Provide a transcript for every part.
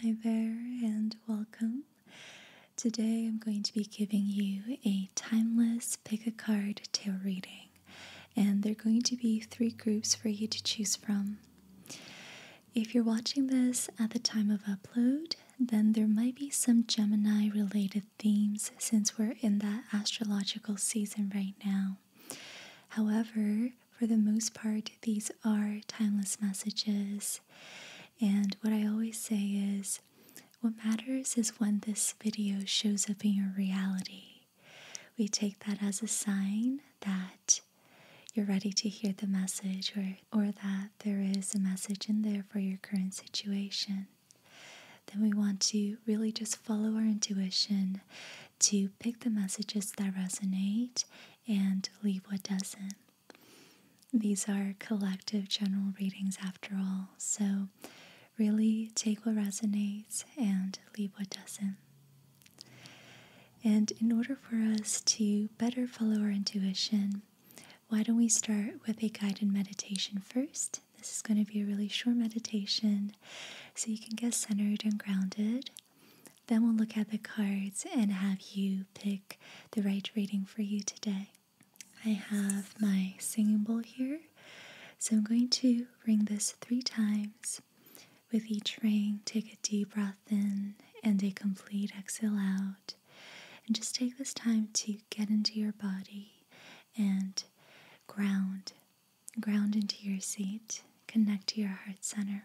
Hi there, and welcome. Today I'm going to be giving you a timeless pick a card tarot reading, and there are going to be three groups for you to choose from. If you're watching this at the time of upload, then there might be some Gemini related themes since we're in that astrological season right now. However, for the most part, these are timeless messages. And what I always say is what matters is when this video shows up in your reality. We take that as a sign that you're ready to hear the message or, that there is a message in there for your current situation. Then we want to really just follow our intuition to pick the messages that resonate and leave what doesn't. These are collective general readings after all, so really take what resonates and leave what doesn't. And in order for us to better follow our intuition, why don't we start with a guided meditation first? This is going to be a really short meditation so you can get centered and grounded. Then we'll look at the cards and have you pick the right reading for you today. I have my singing bowl here, so I'm going to ring this three times. With each ring, take a deep breath in and a complete exhale out. And just take this time to get into your body and ground. Ground into your seat, connect to your heart center.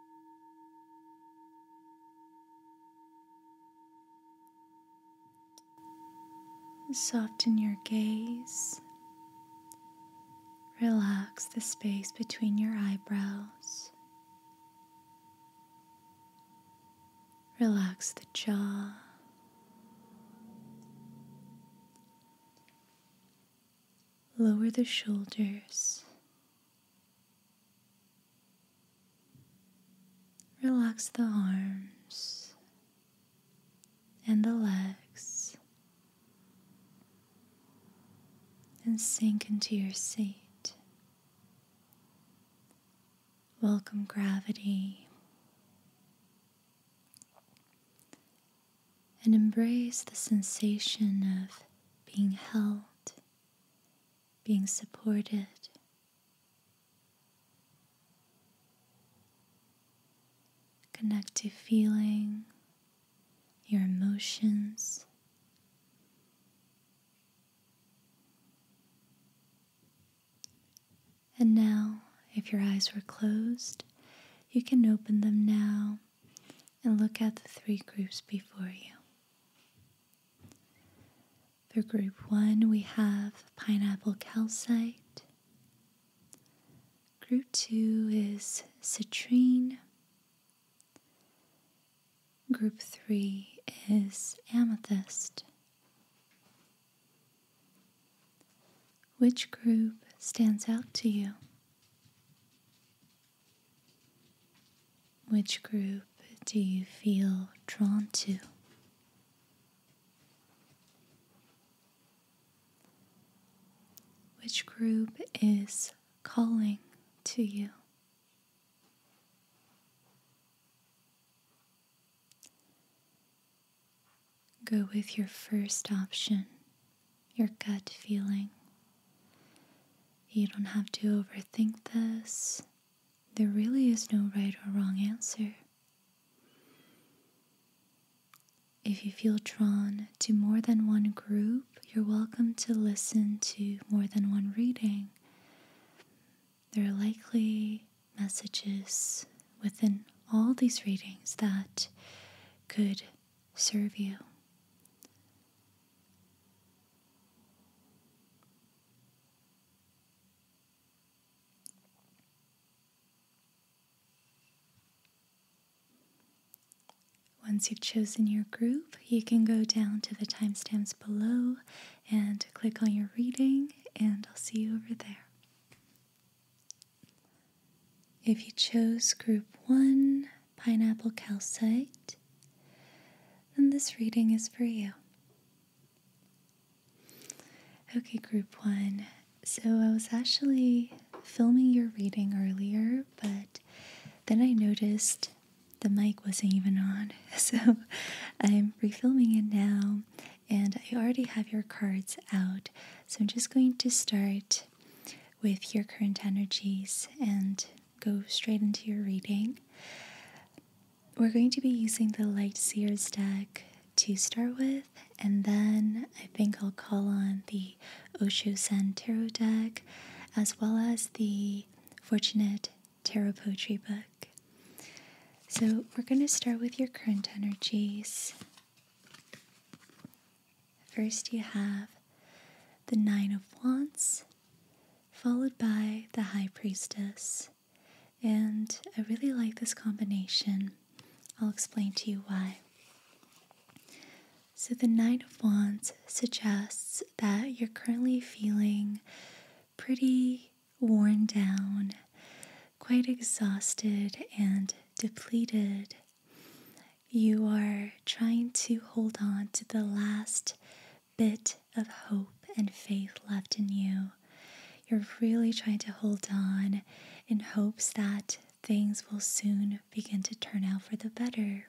Soften your gaze. Relax the space between your eyebrows. Relax the jaw. Lower the shoulders. Relax the arms and the legs and sink into your seat. Welcome gravity and embrace the sensation of being held, being supported. Connect to feeling, your emotions. And now, if your eyes were closed, you can open them now and look at the three groups before you. For group one, we have pineapple calcite. Group two is citrine. Group three is amethyst. Which group stands out to you? Which group do you feel drawn to? Which group is calling to you? Go with your first option your gut feeling. You don't have to overthink this. There really is no right or wrong answer. If you feel drawn to more than one group, you're welcome to listen to more than one reading. There are likely messages within all these readings that could serve you. Once you've chosen your group, you can go down to the timestamps below and click on your reading, and I'll see you over there. If you chose group one, pineapple calcite, then this reading is for you. Okay, group one. So I was actually filming your reading earlier, but then I noticed the mic wasn't even on. So I'm refilming it now, and I already have your cards out. So I'm just going to start with your current energies and go straight into your reading. We're going to be using the Light Seers deck to start with, and then I think I'll call on the Osho Sen Tarot deck as well as the Fortunate Tarot Poetry book. So, we're going to start with your current energies. First, you have the Nine of Wands, followed by the High Priestess. And I really like this combination. I'll explain to you why. So, the Nine of Wands suggests that you're currently feeling pretty worn down, quite exhausted, and depleted you are trying to hold on to the last bit of hope and faith left in you. You're really trying to hold on in hopes that things will soon begin to turn out for the better.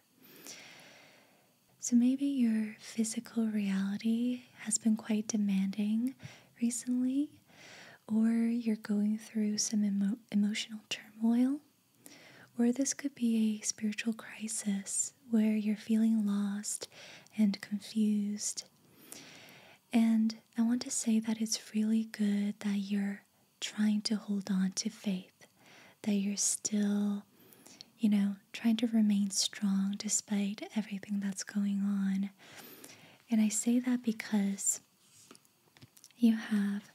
So maybe your physical reality has been quite demanding recently, or you're going through some emotional turmoil. Or this could be a spiritual crisis where you're feeling lost and confused. And I want to say that it's really good that you're trying to hold on to faith, that you're still, you know, trying to remain strong despite everything that's going on. And I say that because you have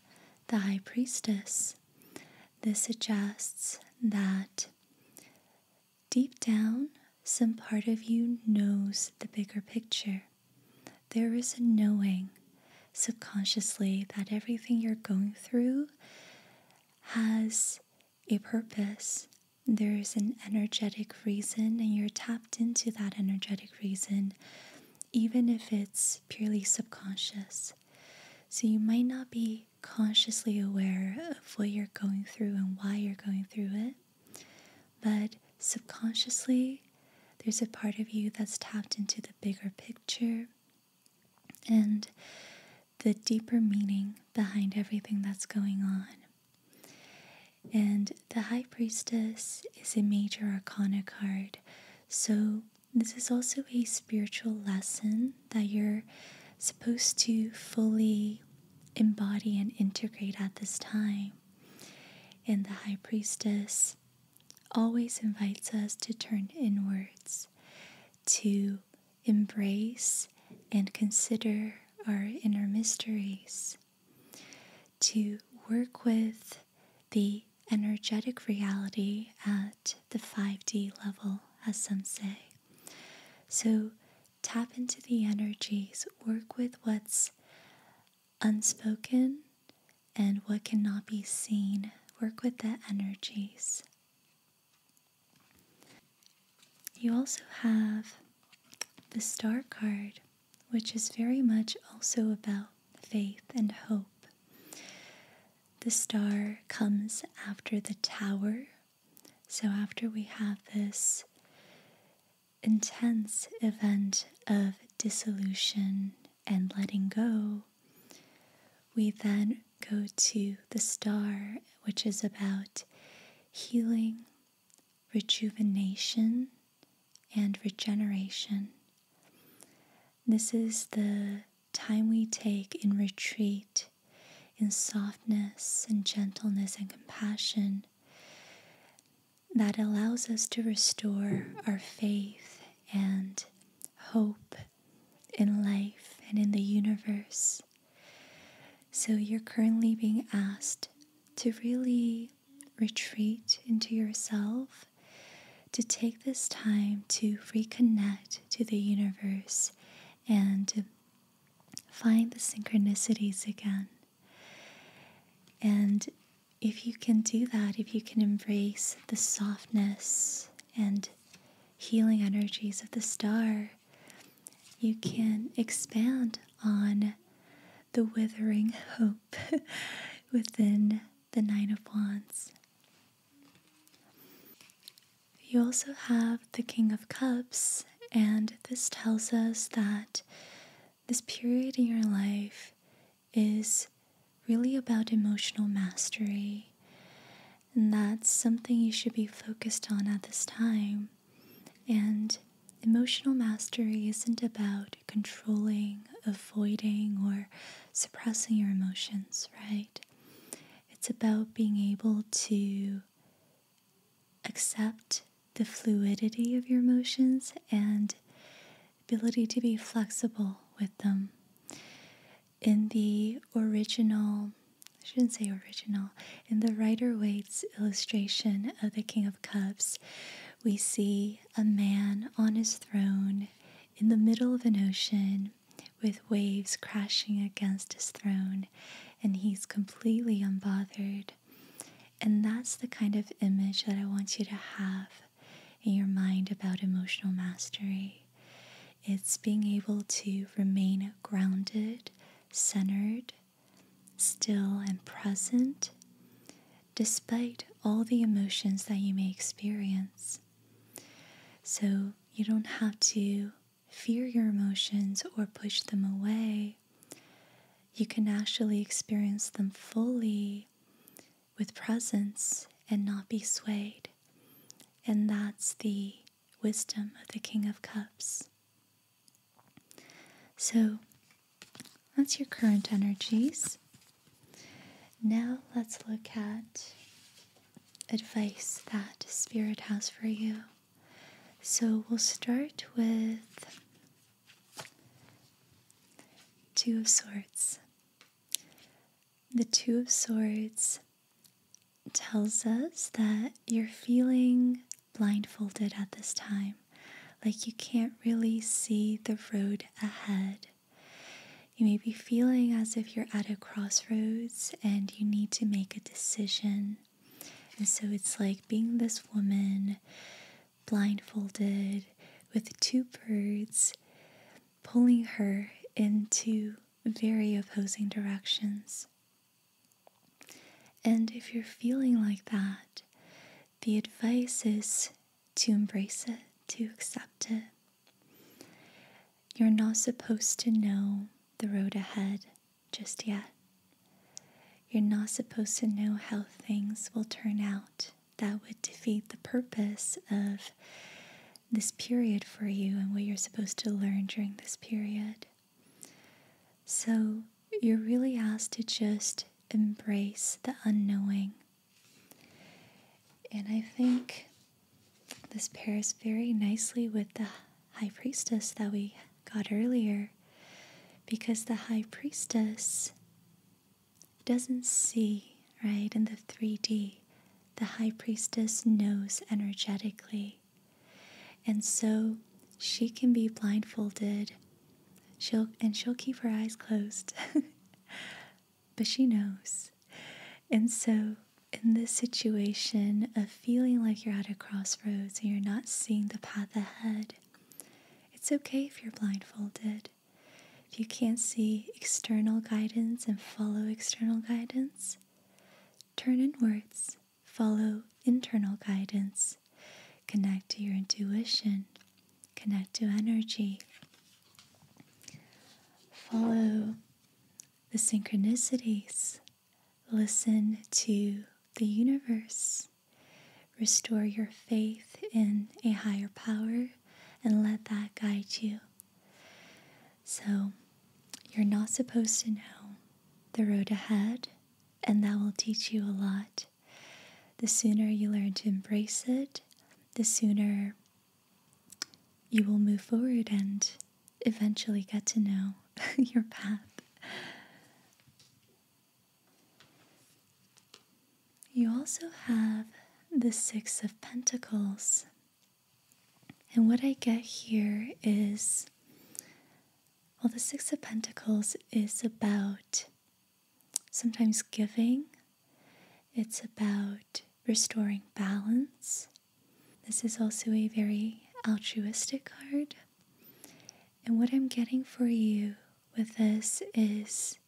the high priestess this suggests that deep down, some part of you knows the bigger picture. There is a knowing subconsciously that everything you're going through has a purpose. There is an energetic reason, and you're tapped into that energetic reason, even if it's purely subconscious. So you might not be consciously aware of what you're going through and why you're going through it, but subconsciously, there's a part of you that's tapped into the bigger picture and the deeper meaning behind everything that's going on. And the High Priestess is a major arcana card, so this is also a spiritual lesson that you're supposed to fully embody and integrate at this time. And the high priestess always invites us to turn inwards, to embrace and consider our inner mysteries, to work with the energetic reality at the 5D level, as some say. So tap into the energies, work with what's unspoken and what cannot be seen. Work with the energies. You also have the star card, which is very much also about faith and hope. The star comes after the tower. So, after we have this intense event of dissolution and letting go, we then go to the star, which is about healing, rejuvenation, and regeneration. This is the time we take in retreat, in softness and gentleness and compassion, that allows us to restore our faith and hope in life and in the universe. So you're currently being asked to really retreat into yourself to take this time to reconnect to the universe and find the synchronicities again. And if you can do that, if you can embrace the softness and healing energies of the star, you can expand on the withering hope within the Nine of Wands. You also have the King of Cups, and this tells us that this period in your life is really about emotional mastery. And that's something you should be focused on at this time. And emotional mastery isn't about controlling, avoiding, or suppressing your emotions, right? It's about being able to accept the fluidity of your emotions and ability to be flexible with them. In the original, I shouldn't say original, in the Rider Waite's illustration of the King of Cups, we see a man on his throne in the middle of an ocean with waves crashing against his throne, and he's completely unbothered. And that's the kind of image that I want you to have in your mind about emotional mastery. It's being able to remain grounded, centered, still, and present despite all the emotions that you may experience. So, you don't have to fear your emotions or push them away. You can actually experience them fully with presence and not be swayed. And that's the wisdom of the King of Cups. So that's your current energies. Now let's look at advice that Spirit has for you. So we'll start with Two of Swords. The Two of Swords tells us that you're feeling blindfolded at this time, like you can't really see the road ahead. You may be feeling as if you're at a crossroads and you need to make a decision. And so it's like being this woman blindfolded with two birds pulling her into very opposing directions. And if you're feeling like that, the advice is to embrace it, to accept it, you're not supposed to know the road ahead just yet. You're not supposed to know how things will turn out. That would defeat the purpose of this period for you and what you're supposed to learn during this period. So you're really asked to just embrace the unknowing. And I think this pairs very nicely with the High Priestess that we got earlier because the High Priestess doesn't see, right, in the 3D. The High Priestess knows energetically. And so she can be blindfolded. She'll and she'll keep her eyes closed. but she knows. And so, in this situation of feeling like you're at a crossroads and you're not seeing the path ahead, it's okay if you're blindfolded. If you can't see external guidance and follow external guidance, turn inwards, follow internal guidance, connect to your intuition, connect to energy, follow the synchronicities, listen to the universe, restore your faith in a higher power, and let that guide you. So, you're not supposed to know the road ahead, and that will teach you a lot. The sooner you learn to embrace it, the sooner you will move forward and eventually get to know your path. You also have the Six of Pentacles. And what I get here is well, the Six of Pentacles is about sometimes giving, it's about restoring balance, this is also a very altruistic card. And what I'm getting for you with this is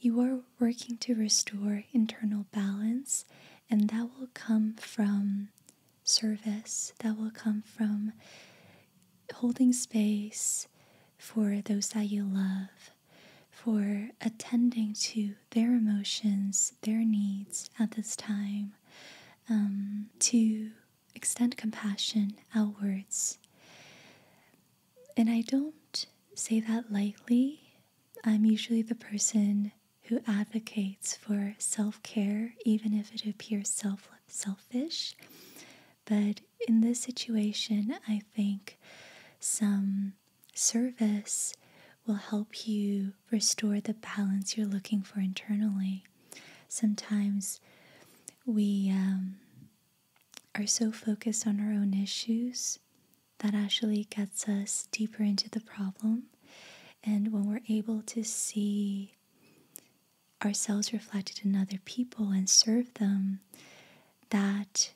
you are working to restore internal balance, and that will come from service, that will come from holding space for those that you love, for attending to their emotions, their needs at this time, um, to extend compassion outwards. And I don't say that lightly. I'm usually the person who advocates for self care, even if it appears self- selfish. But in this situation, I think some service will help you restore the balance you're looking for internally. Sometimes we um, are so focused on our own issues that actually gets us deeper into the problem. And when we're able to see ourselves reflected in other people and serve them, that,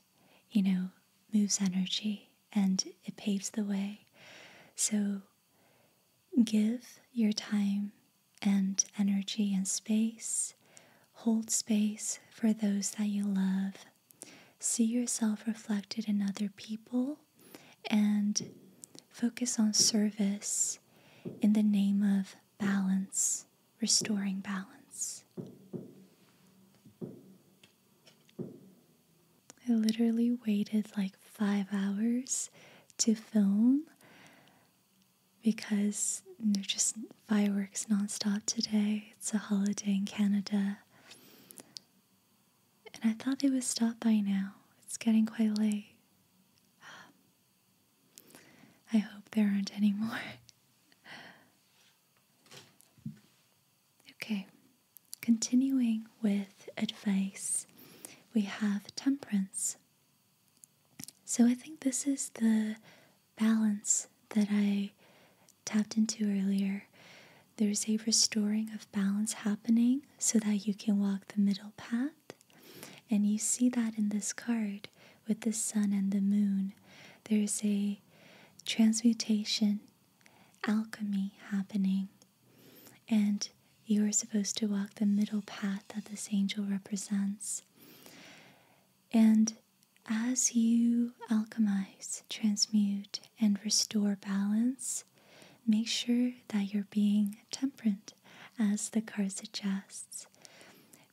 you know, moves energy and it paves the way. So give your time and energy and space. Hold space for those that you love. See yourself reflected in other people and focus on service in the name of balance, restoring balance. I literally waited like five hours to film because there's just fireworks nonstop today. It's a holiday in Canada. And I thought they would stop by now. It's getting quite late. I hope there aren't any more. okay, Continuing with advice, we have temperance. So I think this is the balance that I tapped into earlier. There's a restoring of balance happening so that you can walk the middle path. And you see that in this card with the sun and the moon. There's a transmutation alchemy happening. And you are supposed to walk the middle path that this angel represents. And as you alchemize, transmute, and restore balance, make sure that you're being temperate, as the card suggests.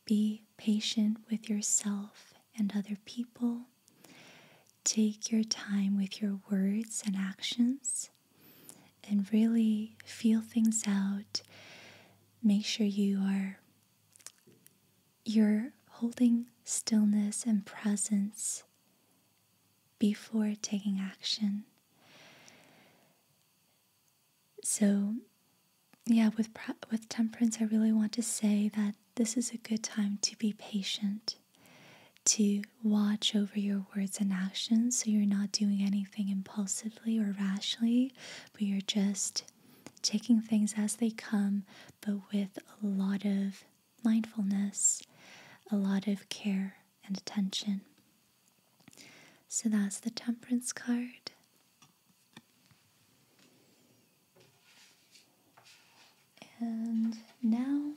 Be patient with yourself and other people take your time with your words and actions and really feel things out. Make sure you are you're holding stillness and presence before taking action. So, yeah, with with temperance I really want to say that this is a good time to be patient, to watch over your words and actions so you're not doing anything impulsively or rashly, but you're just taking things as they come, but with a lot of mindfulness, a lot of care and attention. So that's the temperance card. And now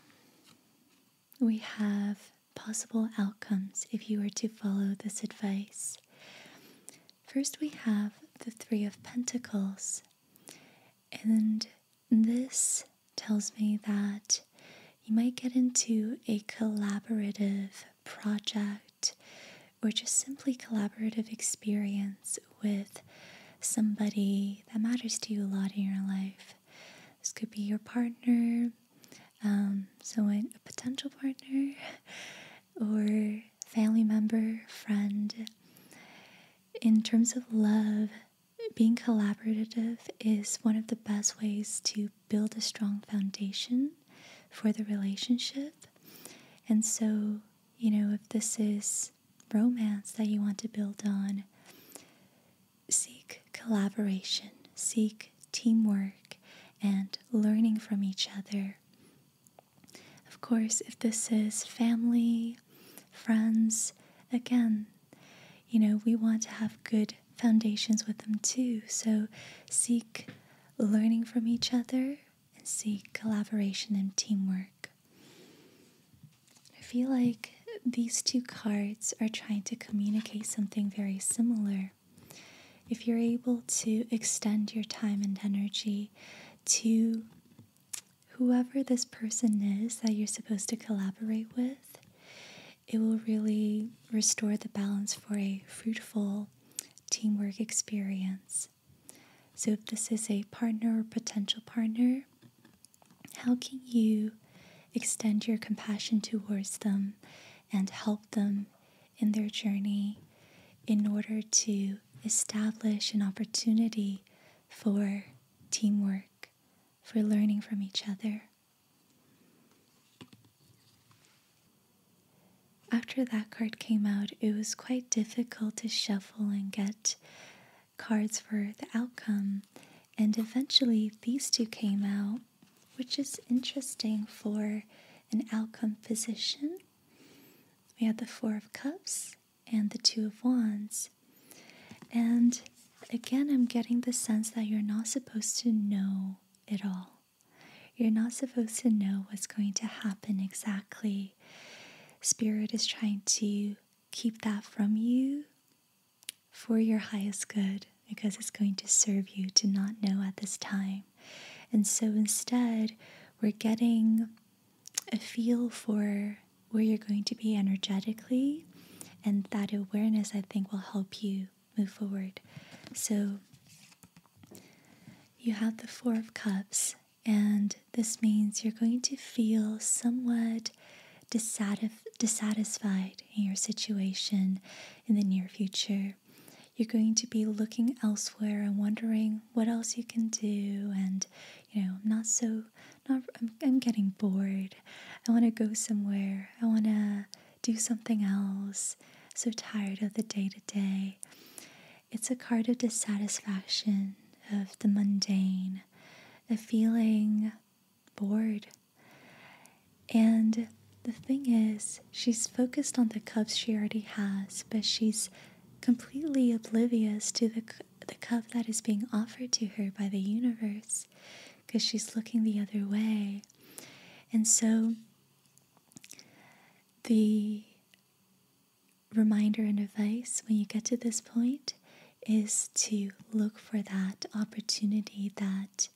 we have possible outcomes if you were to follow this advice. First, we have the Three of Pentacles. And this tells me that you might get into a collaborative project or just simply collaborative experience with somebody that matters to you a lot in your life. This could be your partner, um, someone, a potential partner, or family member, friend. In terms of love, being collaborative is one of the best ways to build a strong foundation for the relationship. And so, you know, if this is romance that you want to build on, seek collaboration, seek teamwork, and learning from each other. Of course, if this is family, friends, again, you know, we want to have good foundations with them too. So seek learning from each other and seek collaboration and teamwork. I feel like these two cards are trying to communicate something very similar. If you're able to extend your time and energy to whoever this person is that you're supposed to collaborate with, it will really restore the balance for a fruitful teamwork experience. So, if this is a partner or potential partner, how can you extend your compassion towards them and help them in their journey in order to establish an opportunity for teamwork, for learning from each other? After that card came out, it was quite difficult to shuffle and get cards for the outcome, and eventually these two came out, which is interesting for an outcome position. We had the Four of Cups and the Two of Wands. And again, I'm getting the sense that you're not supposed to know it all. You're not supposed to know what's going to happen exactly. Spirit is trying to keep that from you for your highest good because it's going to serve you to not know at this time. And so instead, we're getting a feel for where you're going to be energetically, and that awareness, I think, will help you move forward. So you have the Four of Cups, and this means you're going to feel somewhat dissatisfied in your situation in the near future, you're going to be looking elsewhere and wondering what else you can do and you know i'm not so not i'm, getting bored i want to go somewhere i want to do something else so tired of the day to day it's a card of dissatisfaction of the mundane the feeling bored. And the thing is, she's focused on the cups she already has, but she's completely oblivious to the, the cup that is being offered to her by the universe because she's looking the other way. And so the reminder and advice when you get to this point is to look for that opportunity that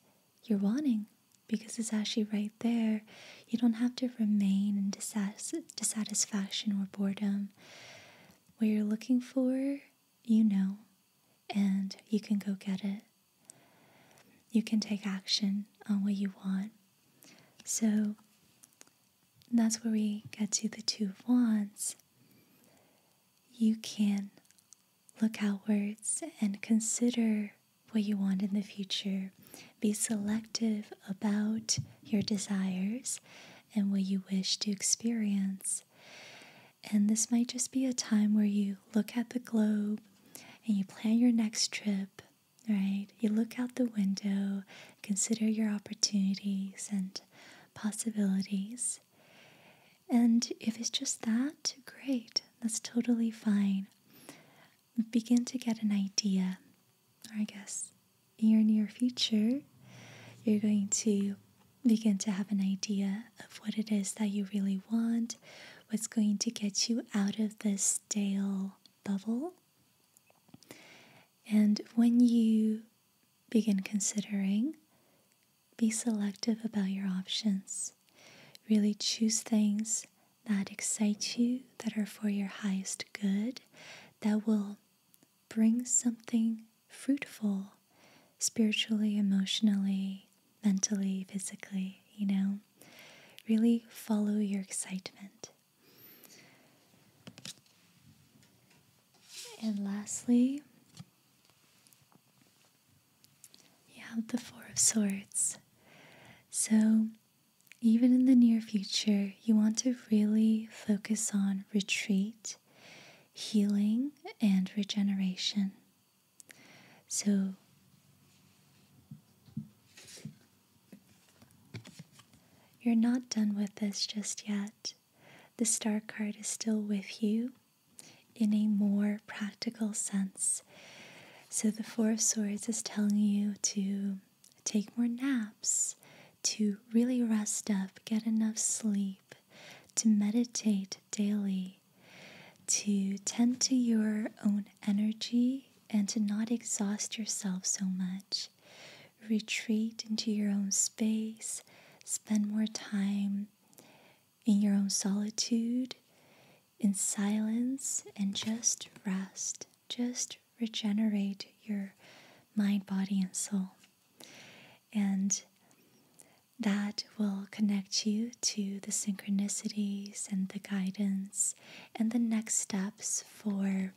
you're wanting because it's actually right there. You don't have to remain in dissatisfaction or boredom. What you're looking for, you know, and you can go get it. You can take action on what you want. So that's where we get to the two of wands you can look outwards and consider what you want in the future. Be selective about your desires and what you wish to experience. And this might just be a time where you look at the globe and you plan your next trip, right? You look out the window, consider your opportunities and possibilities. And if it's just that, great, that's totally fine. Begin to get an idea, or I guess in your near future, you're going to begin to have an idea of what it is that you really want, what's going to get you out of this stale bubble. And when you begin considering be selective about your options. Really choose things that excite you, that are for your highest good, that will bring something fruitful spiritually, emotionally, mentally, physically, you know. Really follow your excitement. And lastly, you have the Four of Swords. So, even in the near future, you want to really focus on retreat, healing, and regeneration. So, you're not done with this just yet. The star card is still with you, in a more practical sense. So, the Four of Swords is telling you to take more naps, to really rest up, get enough sleep, to meditate daily, to tend to your own energy and to not exhaust yourself so much. Retreat into your own space, spend more time in your own solitude, in silence, and just rest. Just regenerate your mind, body, and soul. And that will connect you to the synchronicities and the guidance and the next steps for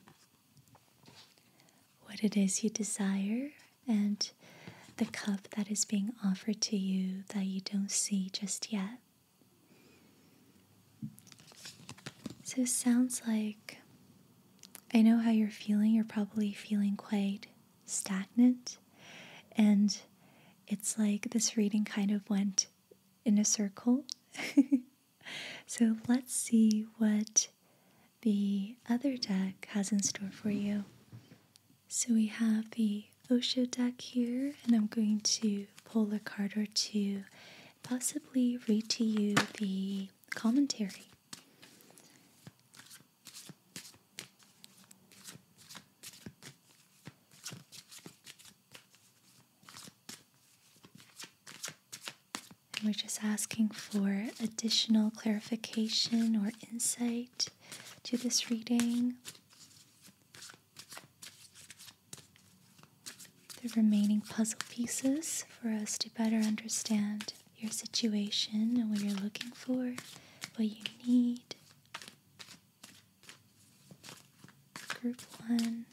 what it is you desire and the cup that is being offered to you that you don't see just yet. So sounds like I know how you're feeling. You're probably feeling quite stagnant. And it's like this reading kind of went in a circle. so let's see what the other deck has in store for you. So we have the Osho deck here, and I'm going to pull a card or two, possibly read to you the commentary. we're just asking for additional clarification or insight date to this reading. The remaining puzzle pieces for us to better understand your situation and what you're looking for, what you need. Group one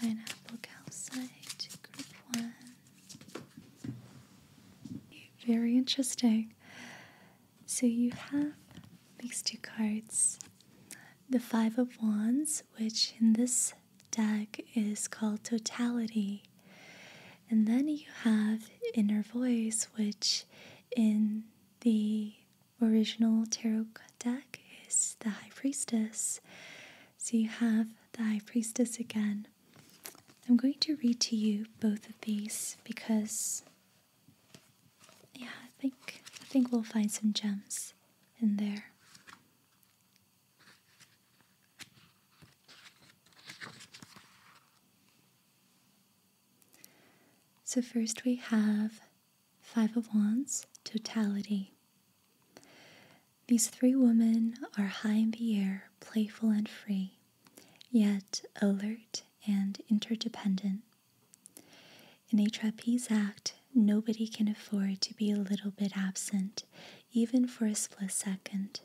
Pineapple Calcite, Group one. Very interesting. So you have these two cards the Five of Wands, which in this deck is called Totality. And then you have Inner Voice, which in the original tarot deck is the High Priestess. So you have the High Priestess again I'm going to read to you both of these because yeah, I think I think we'll find some gems in there. So first we have Five of Wands, Totality. These three women are high in the air, playful and free, yet alert and interdependent. In a trapeze act, nobody can afford to be a little bit absent, even for a split second.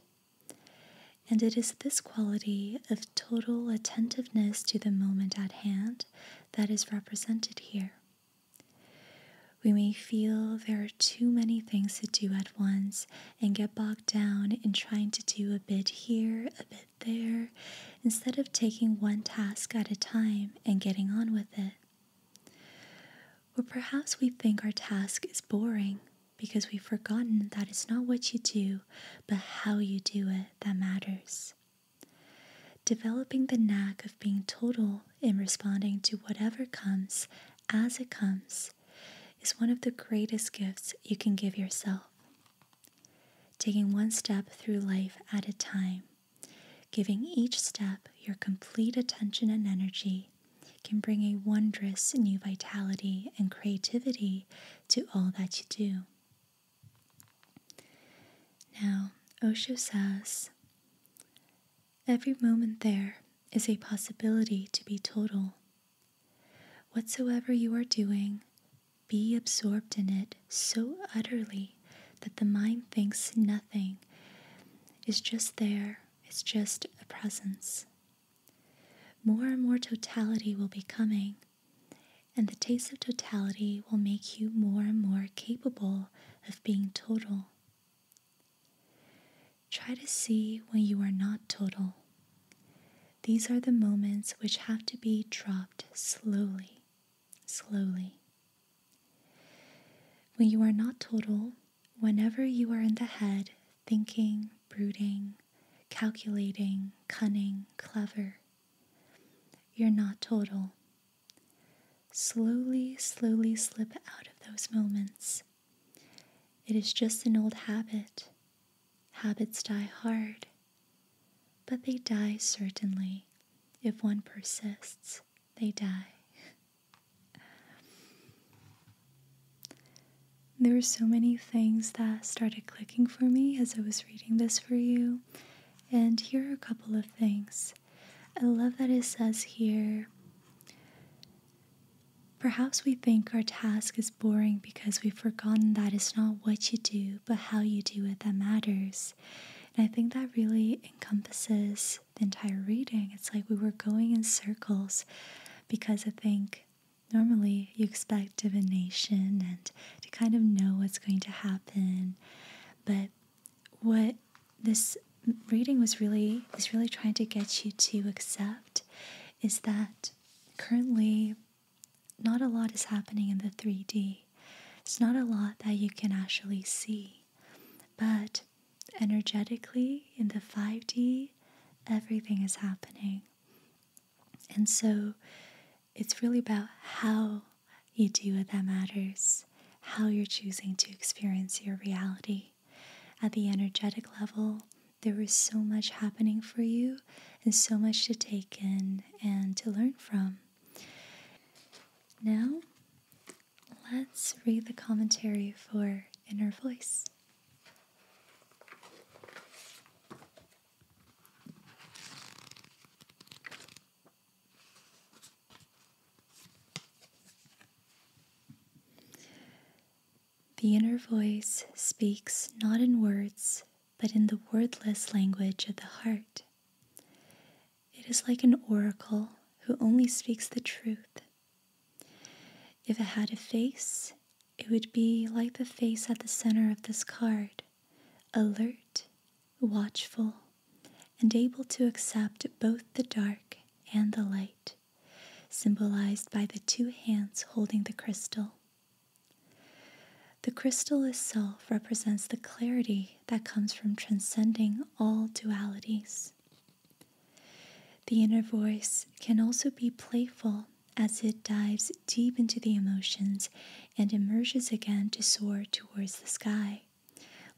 And it is this quality of total attentiveness to the moment at hand that is represented here. We may feel there are too many things to do at once and get bogged down in trying to do a bit here, a bit there, instead of taking one task at a time and getting on with it. Or perhaps we think our task is boring because we've forgotten that it's not what you do, but how you do it that matters. Developing the knack of being total in responding to whatever comes as it comes is one of the greatest gifts you can give yourself. Taking one step through life at a time, giving each step your complete attention and energy, can bring a wondrous new vitality and creativity to all that you do. Now, Osho says, Every moment there is a possibility to be total. Whatsoever you are doing, be absorbed in it so utterly that the mind thinks nothing is just there, it's just a presence. More and more totality will be coming, and the taste of totality will make you more and more capable of being total. Try to see when you are not total. These are the moments which have to be dropped slowly, slowly. When you are not total, whenever you are in the head, thinking, brooding, calculating, cunning, clever, you're not total. Slowly, slowly slip out of those moments. It is just an old habit. Habits die hard, but they die certainly. If one persists, they die. there were so many things that started clicking for me as I was reading this for you. And here are a couple of things. I love that it says here Perhaps we think our task is boring because we've forgotten that it's not what you do, but how you do it that matters. And I think that really encompasses the entire reading. It's like we were going in circles because I think normally you expect divination and to kind of know what's going to happen. But what this reading was really is really trying to get you to accept is that currently not a lot is happening in the 3D. It's not a lot that you can actually see. But energetically in the 5D, everything is happening. And so it's really about how you do what that matters, how you're choosing to experience your reality. At the energetic level, there was so much happening for you and so much to take in and to learn from. Now, let's read the commentary for Inner Voice. The inner voice speaks not in words, but in the wordless language of the heart. It is like an oracle who only speaks the truth. If it had a face, it would be like the face at the center of this card, alert, watchful, and able to accept both the dark and the light symbolized by the two hands holding the crystal. The crystal itself represents the clarity that comes from transcending all dualities. The inner voice can also be playful as it dives deep into the emotions and emerges again to soar towards the sky,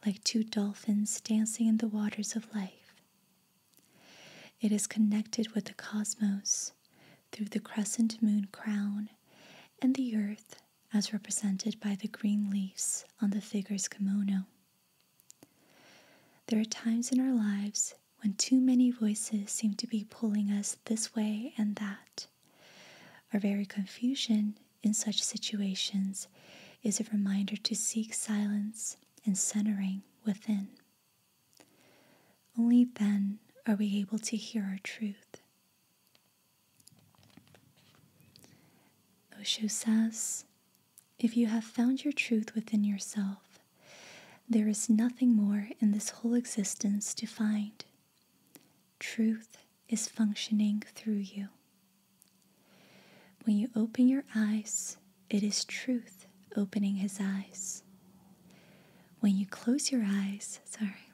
like two dolphins dancing in the waters of life. It is connected with the cosmos through the crescent moon crown and the earth as represented by the green leaves on the figure's kimono. There are times in our lives when too many voices seem to be pulling us this way and that. Our very confusion in such situations is a reminder to seek silence and centering within. Only then are we able to hear our truth. Osho says, if you have found your truth within yourself, there is nothing more in this whole existence to find. Truth is functioning through you. When you open your eyes, it is truth opening his eyes. When you close your eyes, sorry,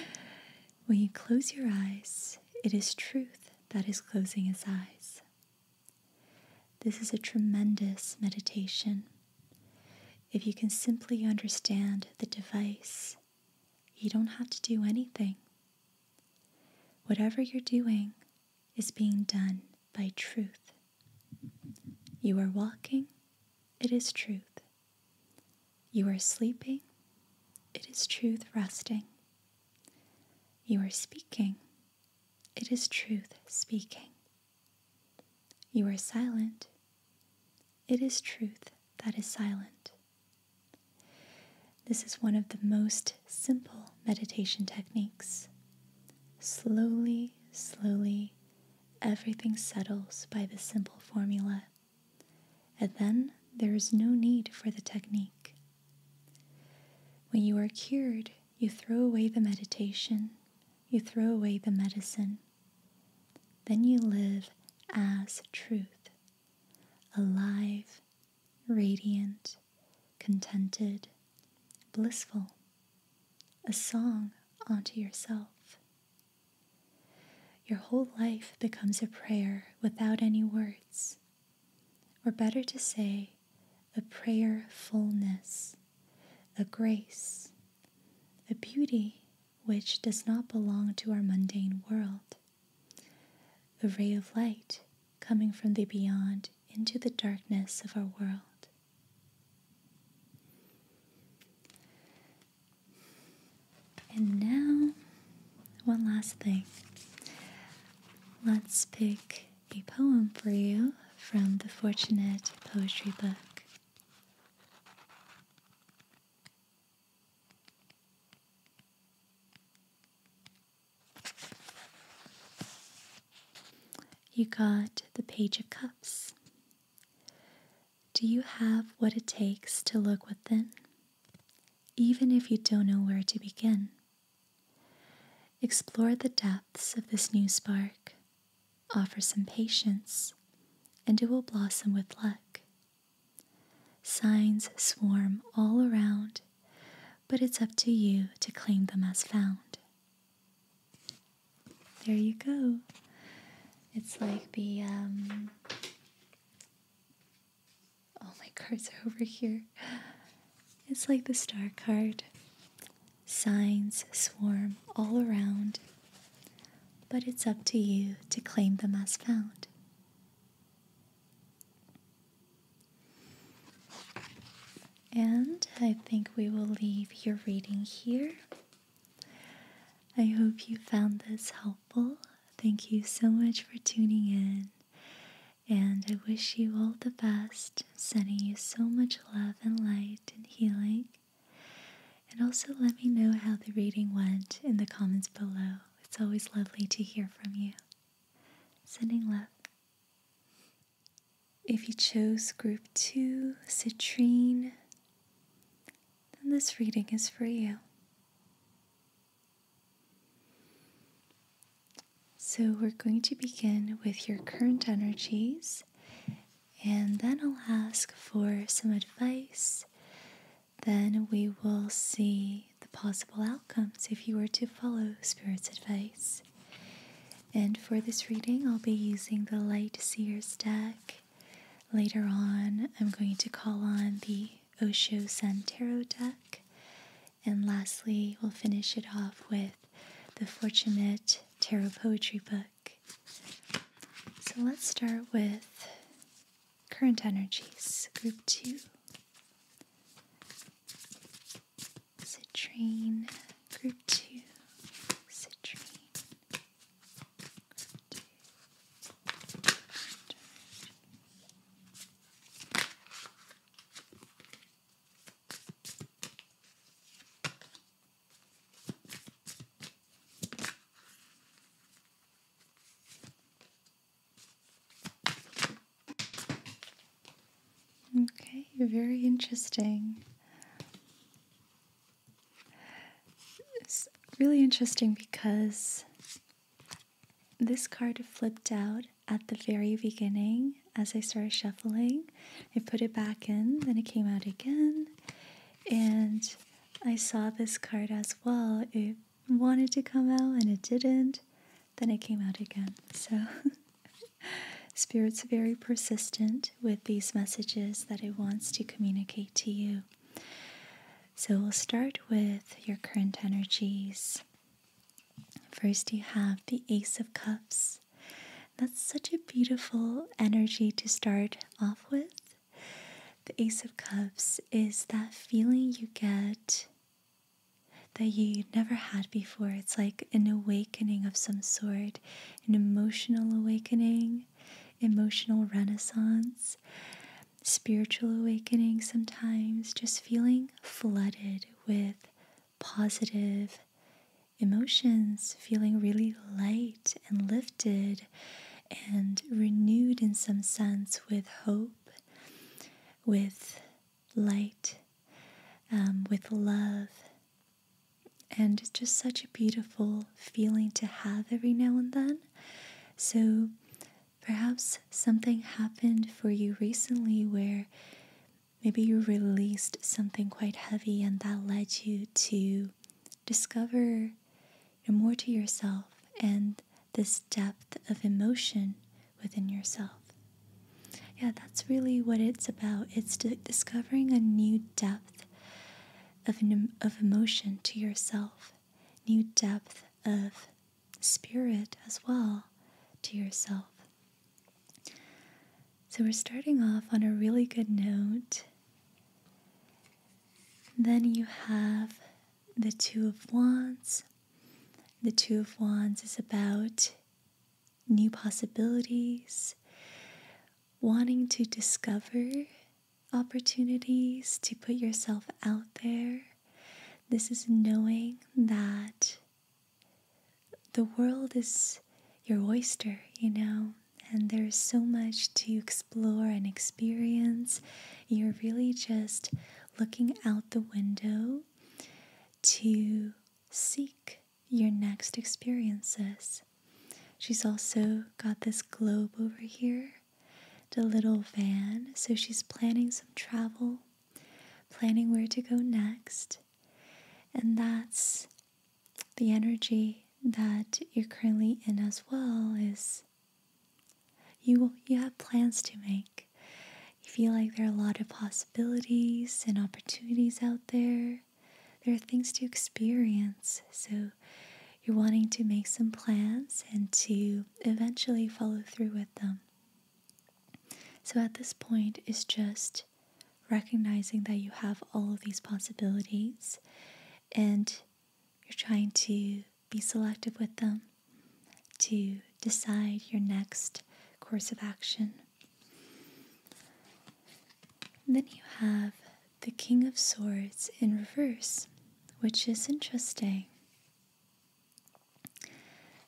when you close your eyes, it is truth that is closing his eyes. This is a tremendous meditation. If you can simply understand the device, you don't have to do anything. Whatever you're doing, is being done by truth. You are walking, it is truth. You are sleeping, it is truth resting. You are speaking, it is truth speaking. You are silent, it is truth that is silent. This is one of the most simple meditation techniques Slowly, slowly, everything settles by this simple formula, and then there is no need for the technique. When you are cured, you throw away the meditation, you throw away the medicine. Then you live as truth, alive, radiant, contented, blissful, a song unto yourself. Your whole life becomes a prayer without any words, or better to say, a prayer fullness, a grace, a beauty which does not belong to our mundane world, a ray of light coming from the beyond into the darkness of our world. And now, one last thing. Let's pick a poem for you from the Fortunate Poetry Book. You got the Page of Cups. Do you have what it takes to look within, even if you don't know where to begin? Explore the depths of this new spark, offer some patience, and it will blossom with luck. Signs swarm all around, but it's up to you to claim them as found. There you go. It's like the, um, all oh, my cards are over here. It's like the star card. Signs swarm all around, but it's up to you to claim them as found. And I think we will leave your reading here. I hope you found this helpful. Thank you so much for tuning in. And I wish you all the best, sending you so much love and light and healing. And also let me know how the reading went in the comments below. It's always lovely to hear from you. Sending love. If you chose group two, citrine, then this reading is for you. So, we're going to begin with your current energies, and then I'll ask for some advice. Then we will see the possible outcomes if you were to follow Spirit's advice. And for this reading, I'll be using the Light Seers deck. Later on, I'm going to call on the Osho Sun Tarot deck. And lastly, we'll finish it off with the Fortunate Tarot Poetry Book. So let's start with Current Energies, Group 2 citrine, group 2, citrine, Okay, very interesting. It's really interesting because this card flipped out at the very beginning as I started shuffling. I put it back in, then it came out again, and I saw this card as well. It wanted to come out and it didn't, then it came out again. So. Spirit's very persistent with these messages that it wants to communicate to you. So we'll start with your current energies. First, you have the Ace of Cups. That's such a beautiful energy to start off with. The Ace of Cups is that feeling you get that you never had before. It's like an awakening of some sort an emotional awakening, emotional renaissance, spiritual awakening sometimes, just feeling flooded with positive emotions, feeling really light and lifted and renewed in some sense with hope, with light, um, with love, and it's just such a beautiful feeling to have every now and then. So perhaps something happened for you recently where maybe you released something quite heavy and that led you to discover more to yourself and this depth of emotion within yourself. Yeah, that's really what it's about. It's discovering a new depth of, of emotion to yourself, new depth of spirit as well to yourself. So we're starting off on a really good note. Then you have the Two of Wands. The Two of Wands is about new possibilities, wanting to discover opportunities, to put yourself out there. This is knowing that the world is your oyster, you know, and there's so much to explore and experience. You're really just looking out the window to seek your next experiences. She's also got this globe over here, the little van, so she's planning some travel, planning where to go next. And that's the energy that you're currently in as well is you you have plans to make. You feel like there are a lot of possibilities and opportunities out there. There are things to experience. So you're wanting to make some plans and to eventually follow through with them. So at this point, it's just recognizing that you have all of these possibilities and you're trying to be selective with them to decide your next course of action then you have the King of Swords in reverse, which is interesting.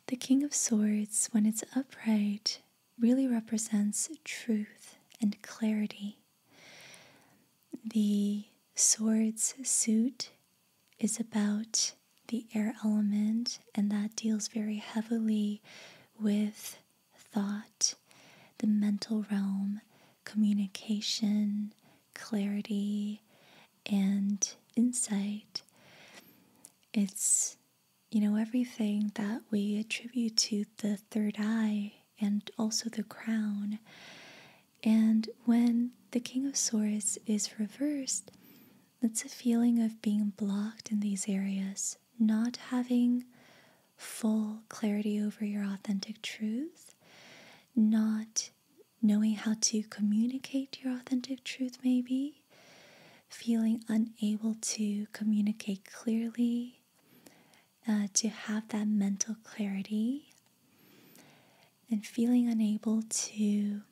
The King of Swords, when it's upright, really represents truth and clarity. The sword's suit is about the air element, and that deals very heavily with thought, the mental realm, communication, clarity, and insight. It's, you know, everything that we attribute to the third eye and also the crown. And when the King of Swords is reversed, it's a feeling of being blocked in these areas not having full clarity over your authentic truth, not knowing how to communicate your authentic truth, maybe, feeling unable to communicate clearly, uh, to have that mental clarity, and feeling unable to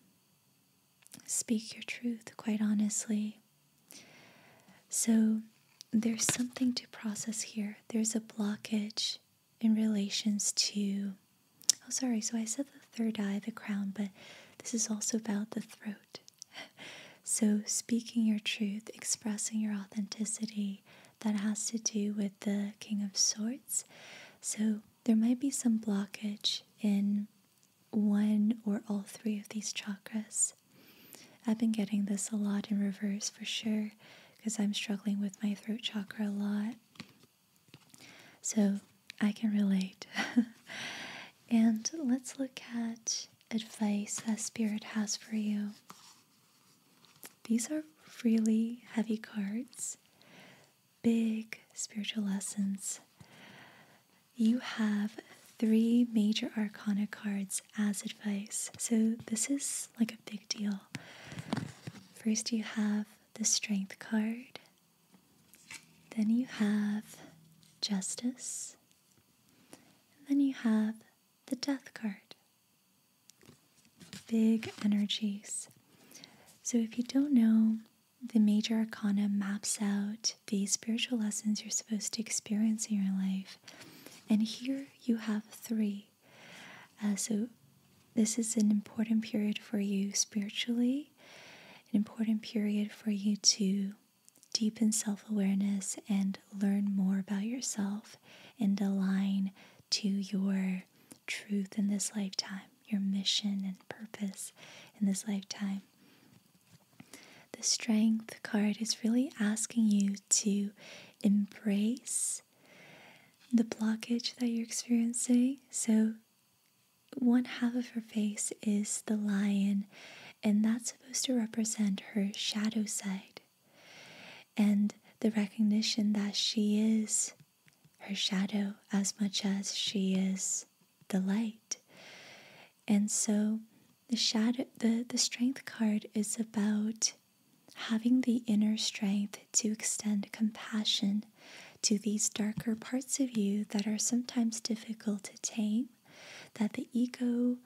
speak your truth, quite honestly. So there's something to process here. There's a blockage in relations to. Oh, sorry. So I said the third eye, the crown, but this is also about the throat. so speaking your truth, expressing your authenticity, that has to do with the King of Swords. So there might be some blockage in one or all three of these chakras. I've been getting this a lot in reverse for sure because I'm struggling with my throat chakra a lot. So I can relate. and let's look at advice that Spirit has for you. These are really heavy cards, big spiritual lessons you have three major arcana cards as advice. So this is like a big deal. First, you have the strength card, then, you have justice, then, you have the death card. Big energies. So, if you don't know, the major arcana maps out about the spiritual lessons you're supposed to experience in your life. And here you have three. Uh, so, this is an important period for you spiritually, an important period for you to deepen self awareness and learn more about yourself and align to your truth in this lifetime, your mission and purpose in this lifetime. The strength card is really asking you to embrace the blockage that you're experiencing. So, one half of her face is the lion, and that's supposed to represent her shadow side and the recognition that she is her shadow as much as she is the light. And so the shadow the, the strength card is about having the inner strength to extend compassion to these darker parts of you that are sometimes difficult to tame, that the ego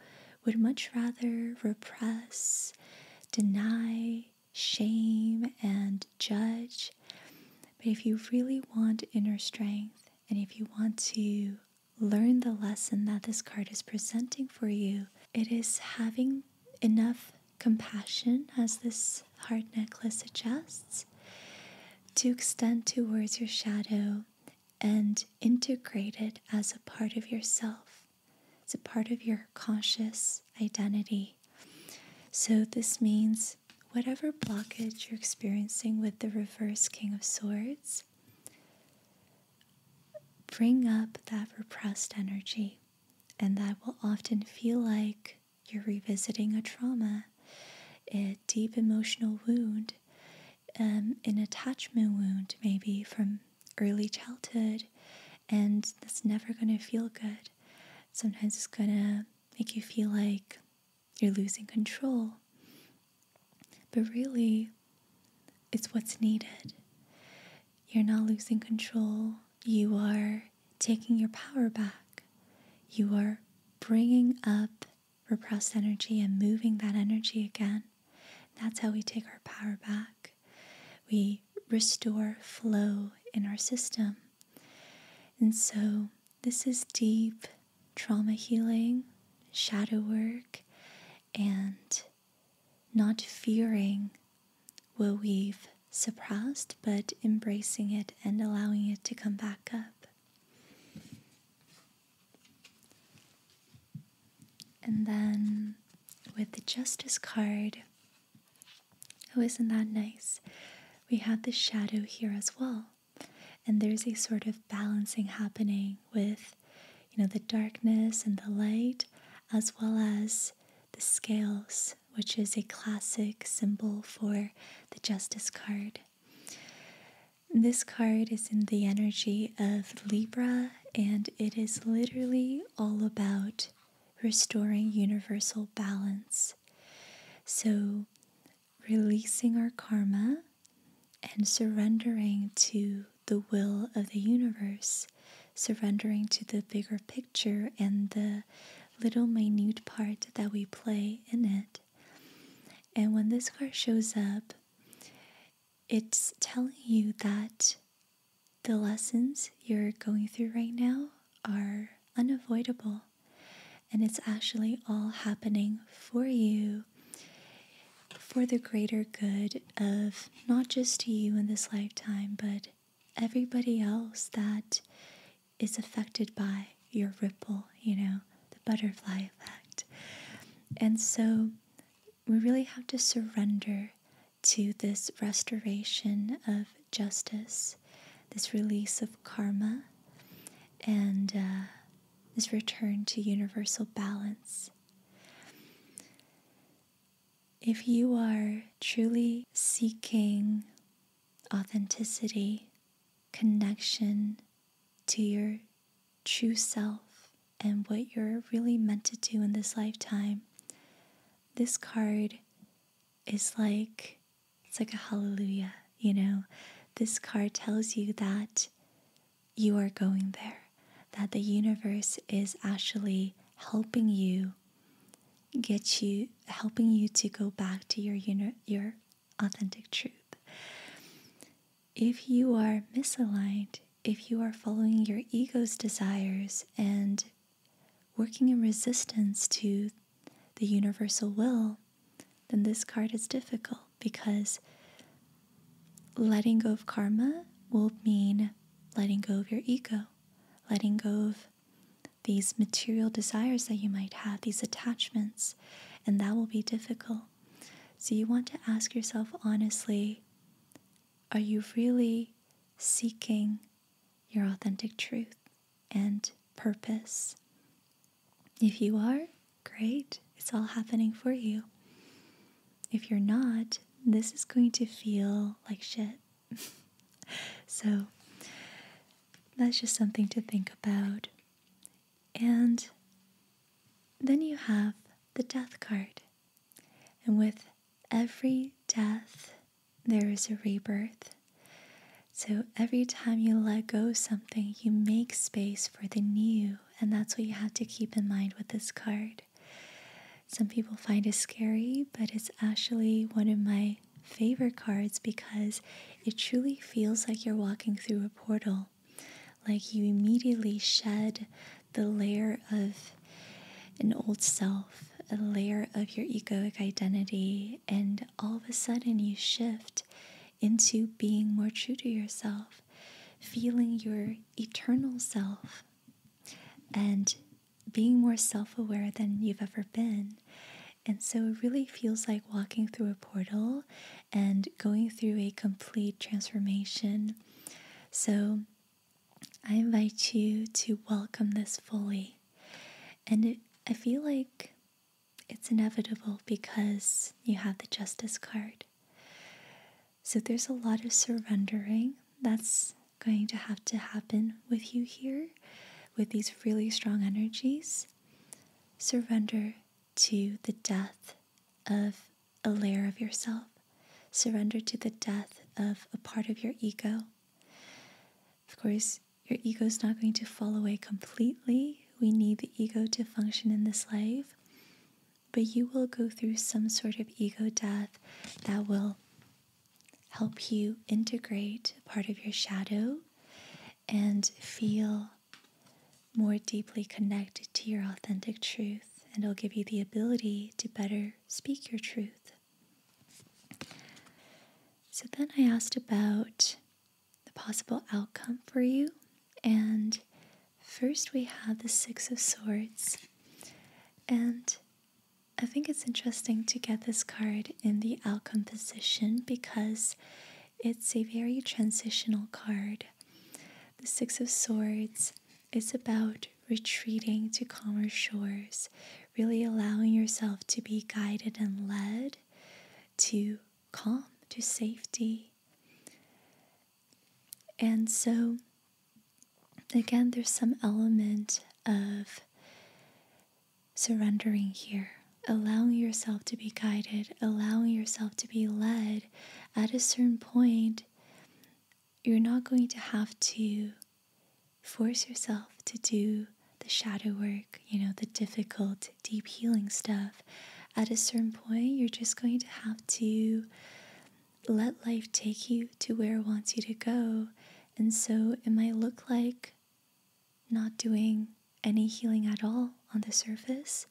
would much rather repress, deny, shame, and judge. But if you really want inner strength, and if you want to learn the lesson that this card is presenting for you. It is having enough compassion, as this heart necklace suggests, to extend towards your shadow and integrate it as a part of yourself. It's a part of your conscious identity. So, this means whatever blockage you're experiencing with the reverse King of Swords, bring up that repressed energy, and that will often feel like you're revisiting a trauma, a deep emotional wound, um, an attachment wound, maybe from early childhood, and that's never going to feel good. Sometimes it's going to make you feel like you're losing control but really, it's what's needed. You're not losing control. You are taking your power back. You are bringing up repressed energy and moving that energy again. That's how we take our power back. We restore flow in our system. And so, this is deep trauma healing, shadow work, and not fearing what we've suppressed, but embracing it and allowing it to come back up. And then with the Justice card, oh, isn't that nice? We have the shadow here as well. And there's a sort of balancing happening with you know the darkness and the light as well as the scales which is a classic symbol for the justice card this card is in the energy of libra and it is literally all about restoring universal balance so releasing our karma and surrendering to the will of the universe, surrendering to the bigger picture and the little minute part that we play in it. And when this card shows up, it's telling you that the lessons you're going through right now are unavoidable. And it's actually all happening for you for the greater good of not just you in this lifetime, but everybody else that is affected by your ripple, you know, the butterfly effect. And so we really have to surrender to this restoration of justice, this release of karma, and uh, this return to universal balance. If you are truly seeking authenticity, connection to your true self and what you're really meant to do in this lifetime, this card is like it's like a hallelujah, you know. This card tells you that you are going there, that the universe is actually helping you get you helping you to go back to your uni- your authentic truth. If you are misaligned, if you are following your ego's desires and working in resistance to the universal will, then this card is difficult because letting go of karma will mean letting go of your ego, letting go of these material desires that you might have, these attachments, and that will be difficult. So you want to ask yourself honestly are you really seeking your authentic truth and purpose? If you are, Great, it's all happening for you. If you're not, this is going to feel like shit. so that's just something to think about. And then you have the death card. And with every death, there is a rebirth. So every time you let go something, you make space for the new. And that's what you have to keep in mind with this card. Some people find it scary, but it's actually one of my favorite cards because it truly feels like you're walking through a portal. Like you immediately shed the layer of an old self, a layer of your egoic identity, and all of a sudden you shift into being more true to yourself feeling your eternal self, and being more self aware than you've ever been. And so it really feels like walking through a portal and going through a complete transformation. So I invite you to welcome this fully. And I feel like it's inevitable because you have the justice card. So there's a lot of surrendering that's going to have to happen with you here with these really strong energies. Surrender to the death of a layer of yourself. Surrender to the death of a part of your ego. Of course, your ego is not going to fall away completely. We need the ego to function in this life but you will go through some sort of ego death that will help you integrate part of your shadow and feel more deeply connected to your authentic truth. And it'll give you the ability to better speak your truth. So then I asked about the possible outcome for you and First, we have the Six of Swords, and I think it's interesting to get this card in the outcome position because it's a very transitional card. The Six of Swords is about retreating to calmer shores, really allowing yourself to be guided and led to calm, to safety. And so, again, there's some element of surrendering here, allowing yourself to be guided, allowing yourself to be led. At a certain point, you're not going to have to force yourself to do the shadow work, you know, the difficult, deep healing stuff. At a certain point, you're just going to have to let life take you to where it wants you to go. And so it might look like not doing any healing at all on the surface,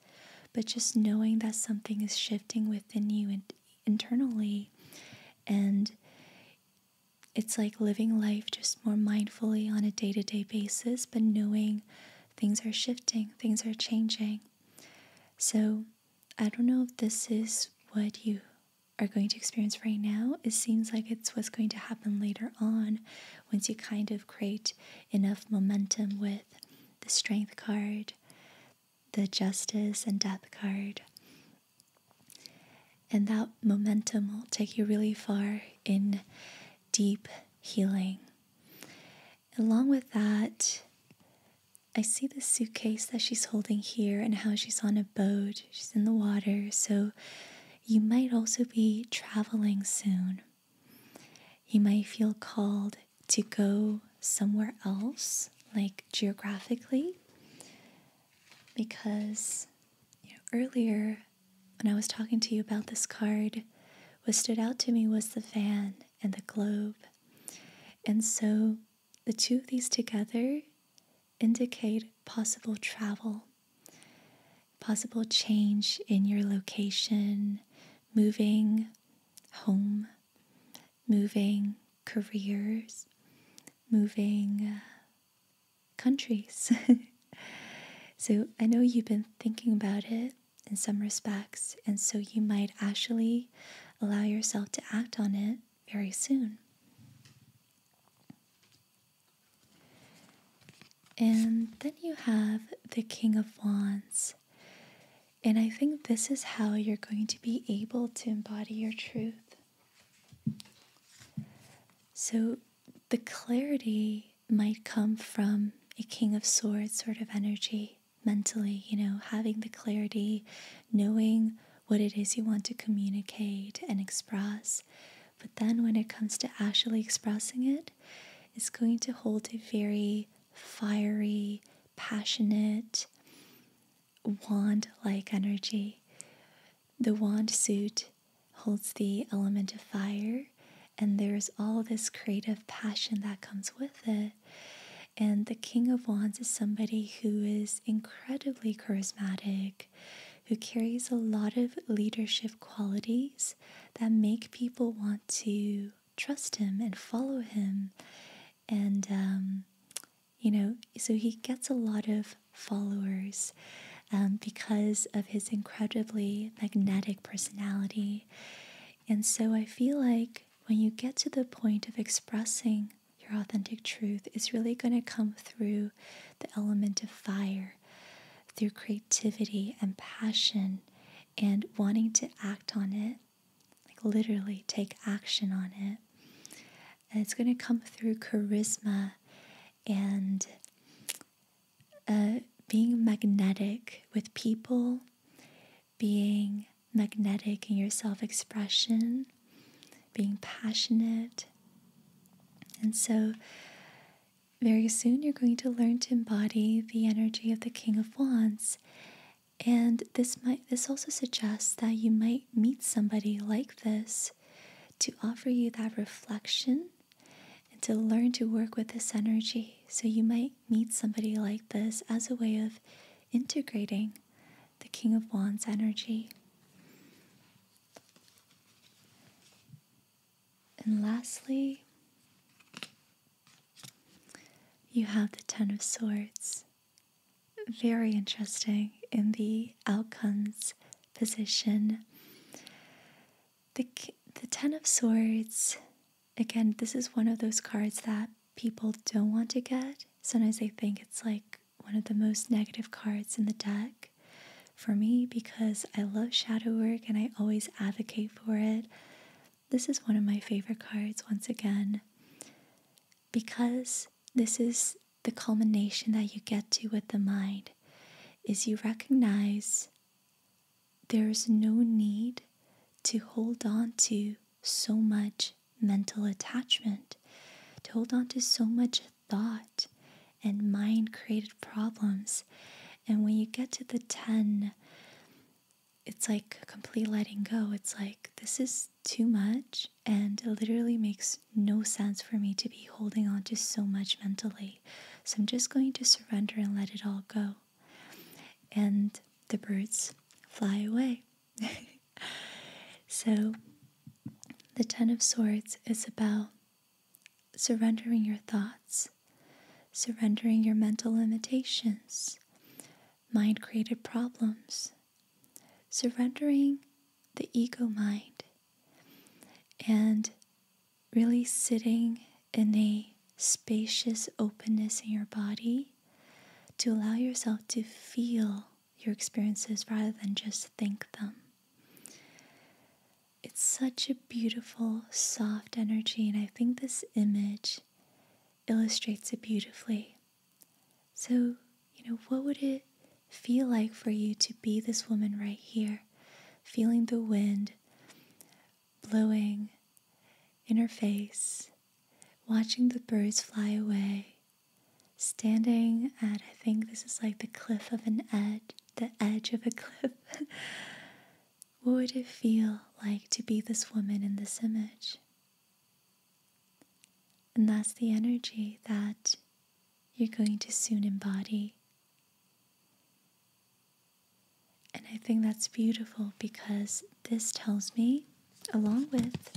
but just knowing that something is shifting within you and internally. And it's like living life just more mindfully on a day to day basis, but knowing things are shifting, things are changing. So I don't know if this is what you are going to experience right now. It seems like it's what's going to happen later on once you kind of create enough momentum with the Strength card, the Justice and Death card. And that momentum will take you really far in deep healing. Along with that, I see the suitcase that she's holding here and how she's on a boat, she's in the water, so you might also be traveling soon. You might feel called to go somewhere else, like geographically, because earlier when I was talking to you about this card, what stood out to me was the fan and the globe. And so the two of these together indicate possible travel, possible change in your location, moving home, moving careers, moving uh, countries. so I know you've been thinking about it in some respects, and so you might actually allow yourself to act on it very soon. And then you have the King of Wands. And I think this is how you're going to be able to embody your truth. So the clarity might come from a King of Swords sort of energy mentally, you know, having the clarity, knowing what it is you want to communicate and express. But then when it comes to actually expressing it, it's going to hold a very fiery, passionate, wand like energy. The wand suit holds the element of fire, and there's all this creative passion that comes with it and the King of Wands is somebody who is incredibly charismatic, who carries a lot of leadership qualities that make people want to trust him and follow him. And, um, you know, so he gets a lot of followers um, because of his incredibly magnetic personality. And so I feel like when you get to the point of expressing your authentic truth, it's really going to come through the element of fire, through creativity and passion and wanting to act on it, like literally take action on it. And it's going to come through charisma and uh, being magnetic with people being magnetic in your self expression, being passionate. And so, very soon, you're going to learn to embody the energy of the King of Wands. And this might this also suggests that you might meet somebody like this to offer you that reflection and to learn to work with this energy. So you might meet somebody like this as a way of integrating the King of Wands energy. And lastly, you have the Ten of Swords. Very interesting in the outcomes position. The, the Ten of Swords, again, this is one of those cards that people don't want to get. Sometimes they think it's like one of the most negative cards in the deck for me because I love shadow work and I always advocate for it. This is one of my favorite cards once again because this is the culmination that you get to with the mind is you recognize there's no need to hold on to so much mental attachment, to hold on to so much thought and mind created problems. And when you get to the 10, it's like complete letting go. It's like, this is too much, and it literally makes no sense for me to be holding on to so much mentally. So I'm just going to surrender and let it all go. And the birds fly away. so, the Ten of Swords is about surrendering your thoughts, surrendering your mental limitations, mind created problems, surrendering the ego mind, and really sitting in a spacious openness in your body to allow yourself to feel your experiences rather than just think them. It's such a beautiful, soft energy, and I think this image illustrates it beautifully. So, you know, what would it feel like for you to be this woman right here, feeling the wind blowing in her face, watching the birds fly away, standing at, I think this is like the cliff of an edge, the edge of a cliff. what would it feel like to be this woman in this image? And that's the energy that you're going to soon embody. And I think that's beautiful because this tells me, along with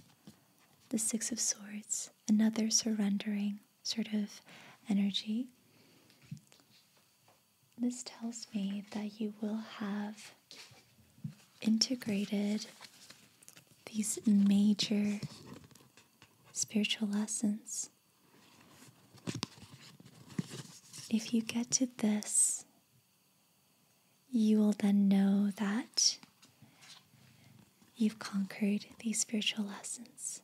the Six of Swords, another surrendering sort of energy. This tells me that you will have integrated these major spiritual lessons. If you get to this you will then know that you've conquered these spiritual lessons.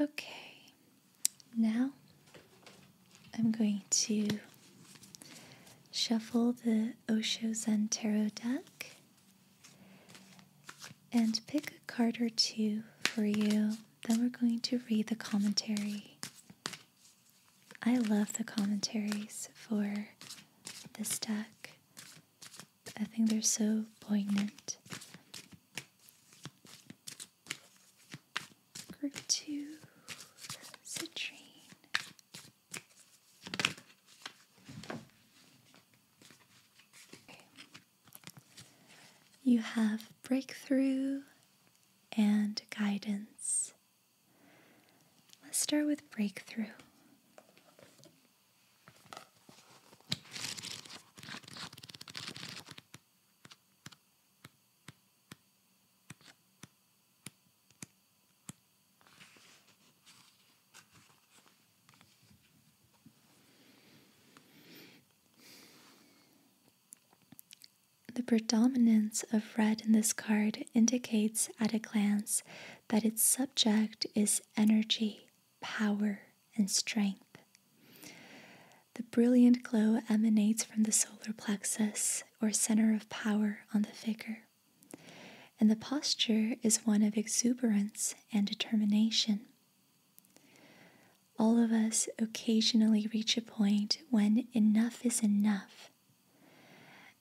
Okay, now I'm going to shuffle the Osho Zen Tarot deck and pick card or two for you. Then we're going to read the commentary. I love the commentaries for this deck. I think they're so poignant. Group 2, Citrine. You have breakthrough and guidance. Let's start with breakthrough. The predominance of red in this card indicates at a glance that its subject is energy, power, and strength. The brilliant glow emanates from the solar plexus or center of power on the figure, and the posture is one of exuberance and determination all of us occasionally reach a point when enough is enough.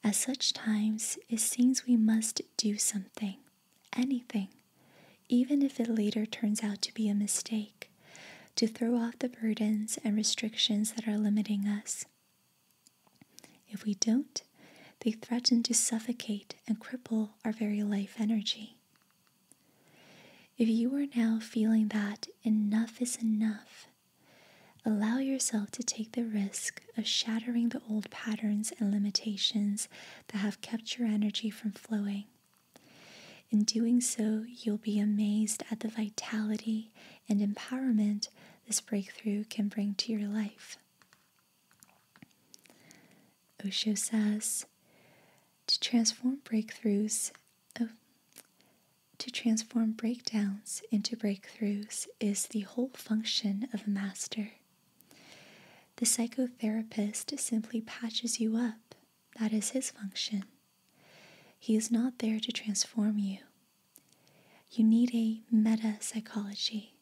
At such times, it seems we must do something, anything, even if it later turns out to be a mistake, to throw off the burdens and restrictions that are limiting us. If we don't, they threaten to suffocate and cripple our very life energy. If you are now feeling that enough is enough, allow yourself to take the risk of shattering the old patterns and limitations that have kept your energy from flowing. In doing so, you'll be amazed at the vitality and empowerment this breakthrough can bring to your life. Osho says to transform breakthroughs to transform breakdowns into breakthroughs is the whole function of a master. The psychotherapist simply patches you up. That is his function. He is not there to transform you. You need a meta psychology,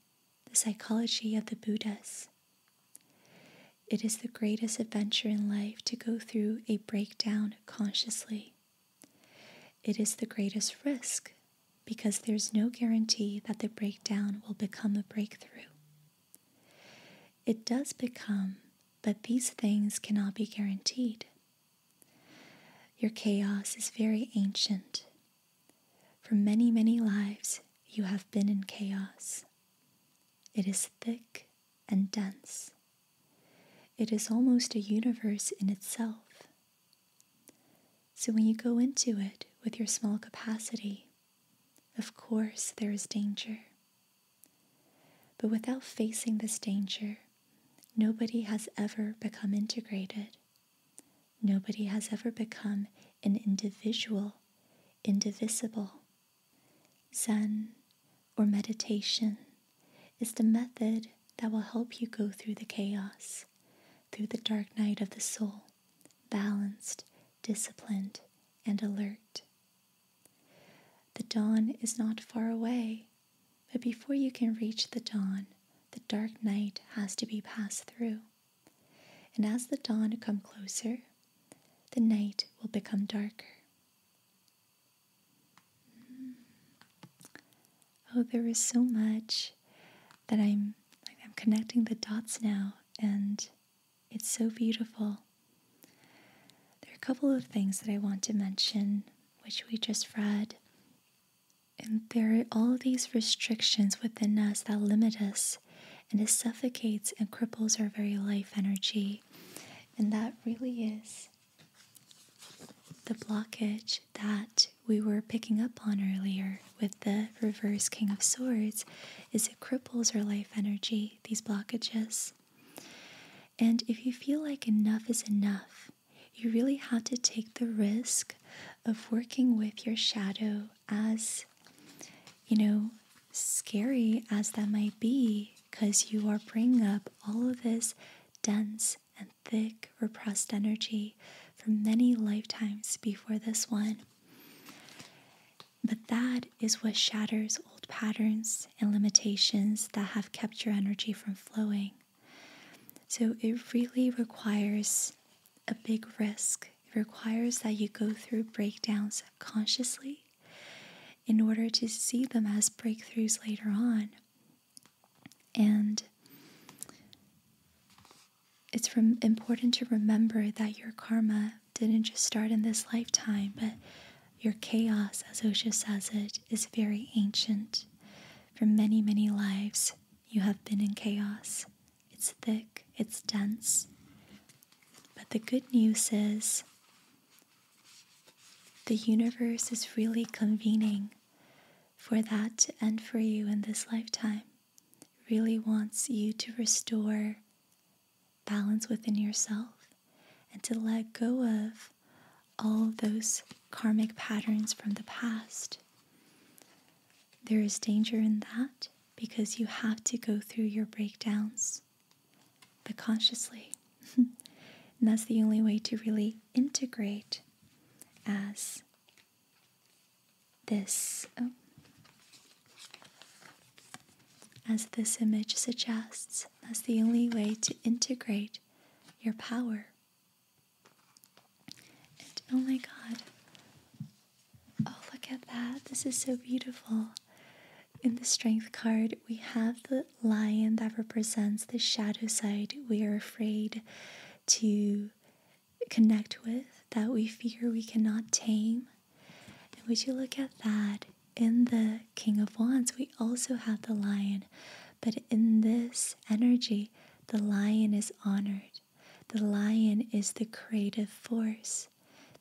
the psychology of the Buddhas. It is the greatest adventure in life to go through a breakdown consciously. It is the greatest risk because there's no guarantee that the breakdown will become a breakthrough. It does become, but these things cannot be guaranteed. Your chaos is very ancient. For many, many lives, you have been in chaos. It is thick and dense. It is almost a universe in itself. So when you go into it with your small capacity, of course there is danger. But without facing this danger, nobody has ever become integrated. Nobody has ever become an individual, indivisible, Zen or meditation is the method that will help you go through the chaos, through the dark night of the soul, balanced, disciplined, and alert. The dawn is not far away, but before you can reach the dawn, the dark night has to be passed through. And as the dawn come closer, the night will become darker. Oh, there is so much that I'm I'm connecting the dots now and it's so beautiful. There are a couple of things that I want to mention which we just read. And there are all these restrictions within us that limit us and it suffocates and cripples our very life energy. And that really is the blockage that we were picking up on earlier with the reverse king of swords is it cripples our life energy these blockages and if you feel like enough is enough you really have to take the risk of working with your shadow as you know scary as that might be, because you are bringing up all of this dense and thick repressed energy from many lifetimes before this one. But that is what shatters old patterns and limitations that have kept your energy from flowing. So it really requires a big risk. It requires that you go through breakdowns consciously in order to see them as breakthroughs later on. And it's important to remember that your karma didn't just start in this lifetime, but your chaos, as Osho says it, is very ancient. For many, many lives, you have been in chaos. It's thick, it's dense. But the good news is the universe is really convening for that to end for you in this lifetime. really wants you to restore balance within yourself and to let go of all those karmic patterns from the past. There is danger in that because you have to go through your breakdowns but consciously. and that's the only way to really integrate as this oh, as this image suggests that's the only way to integrate your power and oh my god oh look at that this is so beautiful in the strength card we have the lion that represents the shadow side we are afraid to connect with, that we fear we cannot tame. And would you look at that? In the King of Wands, we also have the lion, but in this energy, the lion is honored. The lion is the creative force,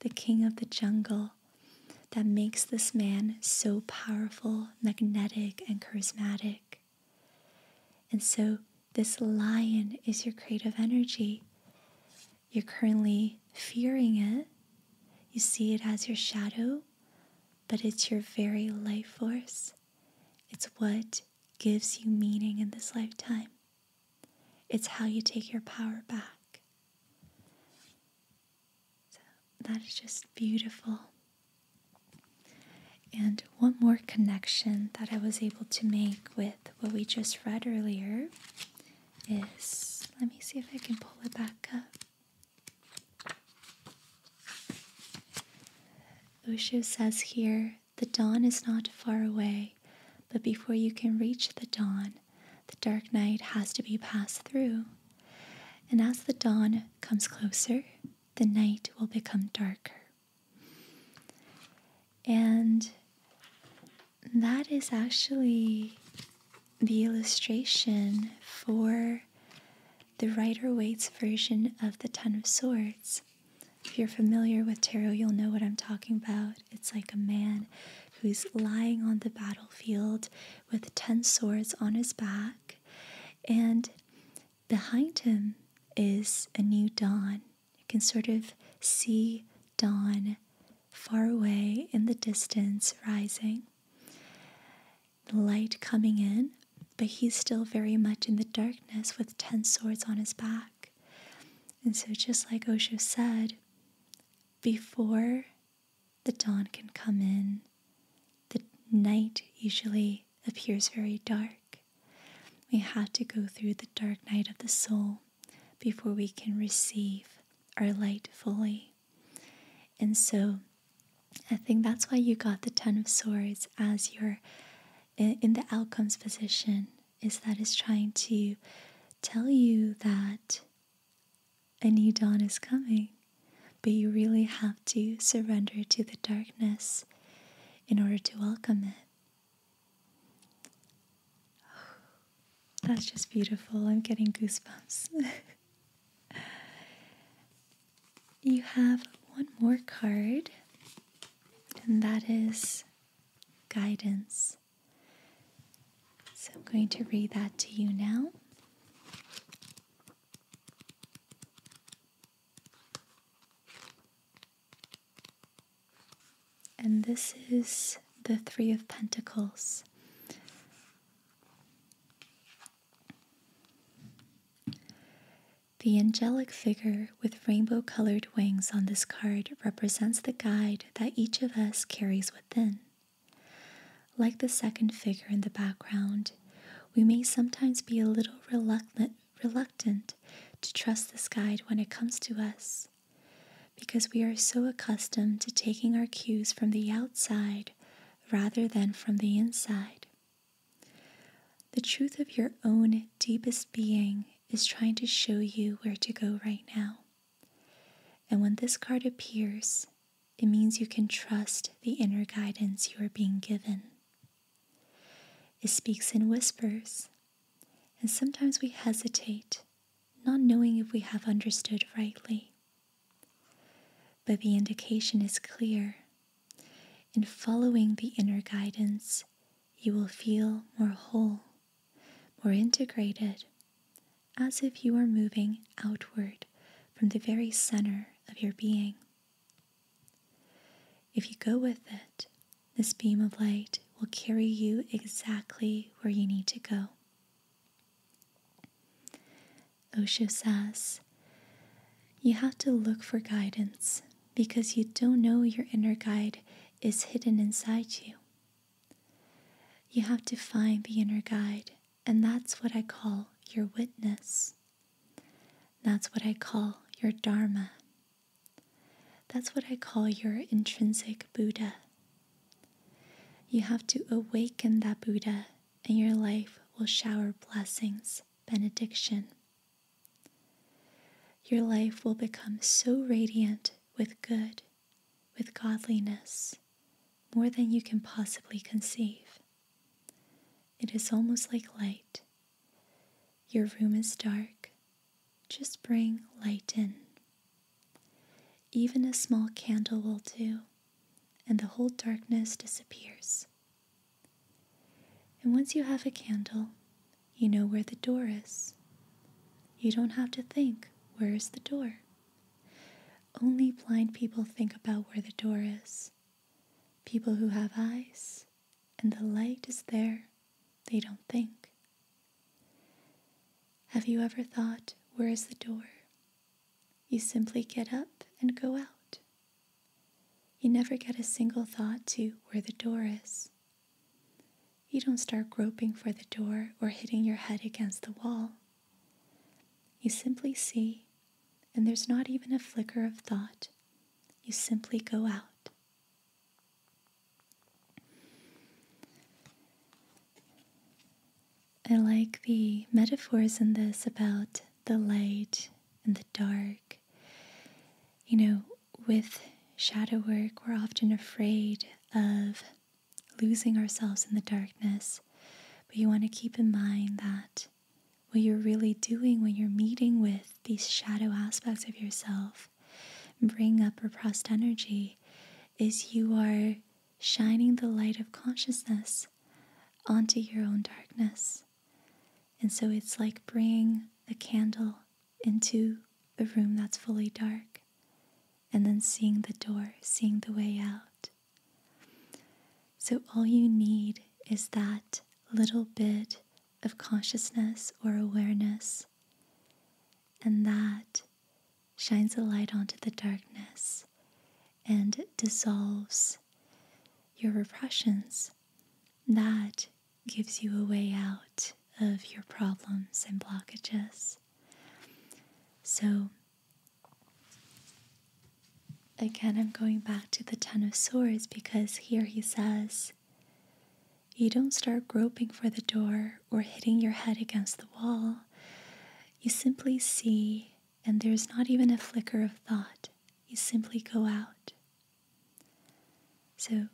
the king of the jungle, that makes this man so powerful, magnetic, and charismatic. And so, this lion is your creative energy. You're currently fearing it, you see it as your shadow, but it's your very life force. It's what gives you meaning in this lifetime. It's how you take your power back. So that is just beautiful. And one more connection that I was able to make with what we just read earlier is let me see if I can pull it back up. Osho says here the dawn is not far away, but before you can reach the dawn, the dark night has to be passed through. And as the dawn comes closer, the night will become darker. And that is actually the illustration for the Rider Waite's version of the Ten of Swords. If you're familiar with tarot, you'll know what I'm talking about. It's like a man who's lying on the battlefield with 10 swords on his back. And behind him is a new dawn. You can sort of see dawn far away in the distance rising. light coming in, but he's still very much in the darkness with 10 swords on his back. And so, just like Osho said, before the dawn can come in. The night usually appears very dark. We have to go through the dark night of the soul before we can receive our light fully. And so I think that's why you got the Ten of Swords as your in the outcomes position, is that it's trying to tell you that a new dawn is coming, but you really have to surrender to the darkness in order to welcome it. that's just beautiful. I'm getting goosebumps. you have one more card, and that is guidance. So I'm going to read that to you now. And this is the Three of Pentacles. The angelic figure with rainbow colored wings on this card represents the guide that each of us carries within. Like the second figure in the background, we may sometimes be a little reluctant to trust this guide when it comes to us, because we are so accustomed to taking our cues from the outside rather than from the inside. The truth of your own deepest being is trying to show you where to go right now. And when this card appears, it means you can trust the inner guidance you are being given. It speaks in whispers, and sometimes we hesitate, not knowing if we have understood rightly. But the indication is clear. In following the inner guidance, you will feel more whole, more integrated, as if you are moving outward from the very center of your being. If you go with it, this beam of light will carry you exactly where you need to go. Osho says, You have to look for guidance because you don't know your inner guide is hidden inside you. You have to find the inner guide and that's what I call your witness. That's what I call your Dharma. That's what I call your intrinsic Buddha. You have to awaken that Buddha, and your life will shower blessings, benediction. Your life will become so radiant with good, with godliness, more than you can possibly conceive. It is almost like light. Your room is dark. Just bring light in. Even a small candle will do, and the whole darkness disappears. And once you have a candle, you know where the door is. You don't have to think, where is the door? Only blind people think about where the door is. People who have eyes and the light is there, they don't think. Have you ever thought, where is the door? You simply get up and go out. You never get a single thought to where the door is. You don't start groping for the door or hitting your head against the wall. You simply see, and there's not even a flicker of thought. You simply go out. I like the metaphors in this about the light and the dark. You know, with shadow work, we're often afraid of losing ourselves in the darkness. But you want to keep in mind that what you're really doing when you're meeting with these shadow aspects of yourself, bring up repressed energy, is you are shining the light of consciousness onto your own darkness. And so it's like bringing a candle into a room that's fully dark and then seeing the door, seeing the way out. So, all you need is that little bit of consciousness or awareness, and that shines a light onto the darkness and dissolves your repressions. That gives you a way out of your problems and blockages. So, Again, I'm going back to the Ten of Swords because here he says, You don't start groping for the door or hitting your head against the wall. You simply see, and there's not even a flicker of thought. You simply go out. So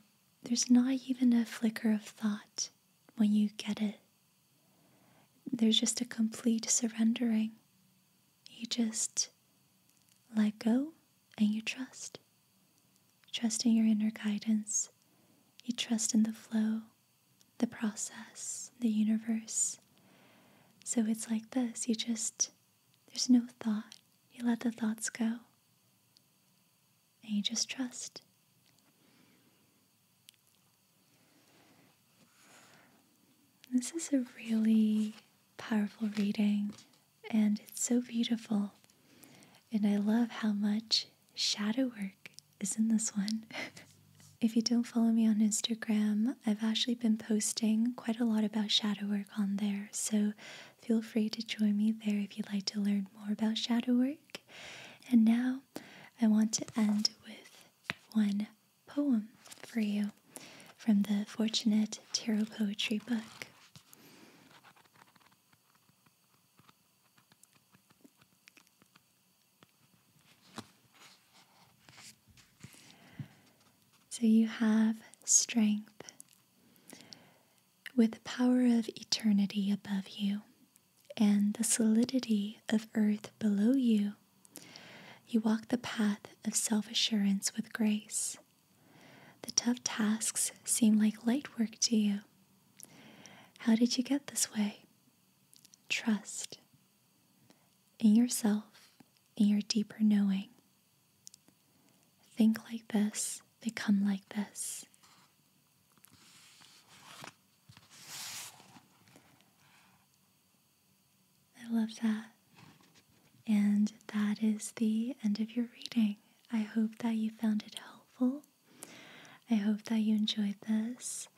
there's not even a flicker of thought when you get it there's just a complete surrendering. You just let go and you trust. Trust in your inner guidance. You trust in the flow, the process, the universe. So it's like this you just, there's no thought. You let the thoughts go and you just trust. This is a really powerful reading and it's so beautiful. And I love how much shadow work is in this one. if you don't follow me on Instagram, I've actually been posting quite a lot about shadow work on there. So feel free to join me there if you'd like to learn more about shadow work. And now I want to end with one poem for you from the Fortunate Tarot Poetry book. So you have strength with power of eternity above you and the solidity of earth below you you walk the path of self assurance with grace. The tough tasks seem like light work to you. How did you get this way? Trust in yourself, in your deeper knowing. Think like this, they come like this. I love that. And that is the end of your reading. I hope that you found it helpful. I hope that you enjoyed this.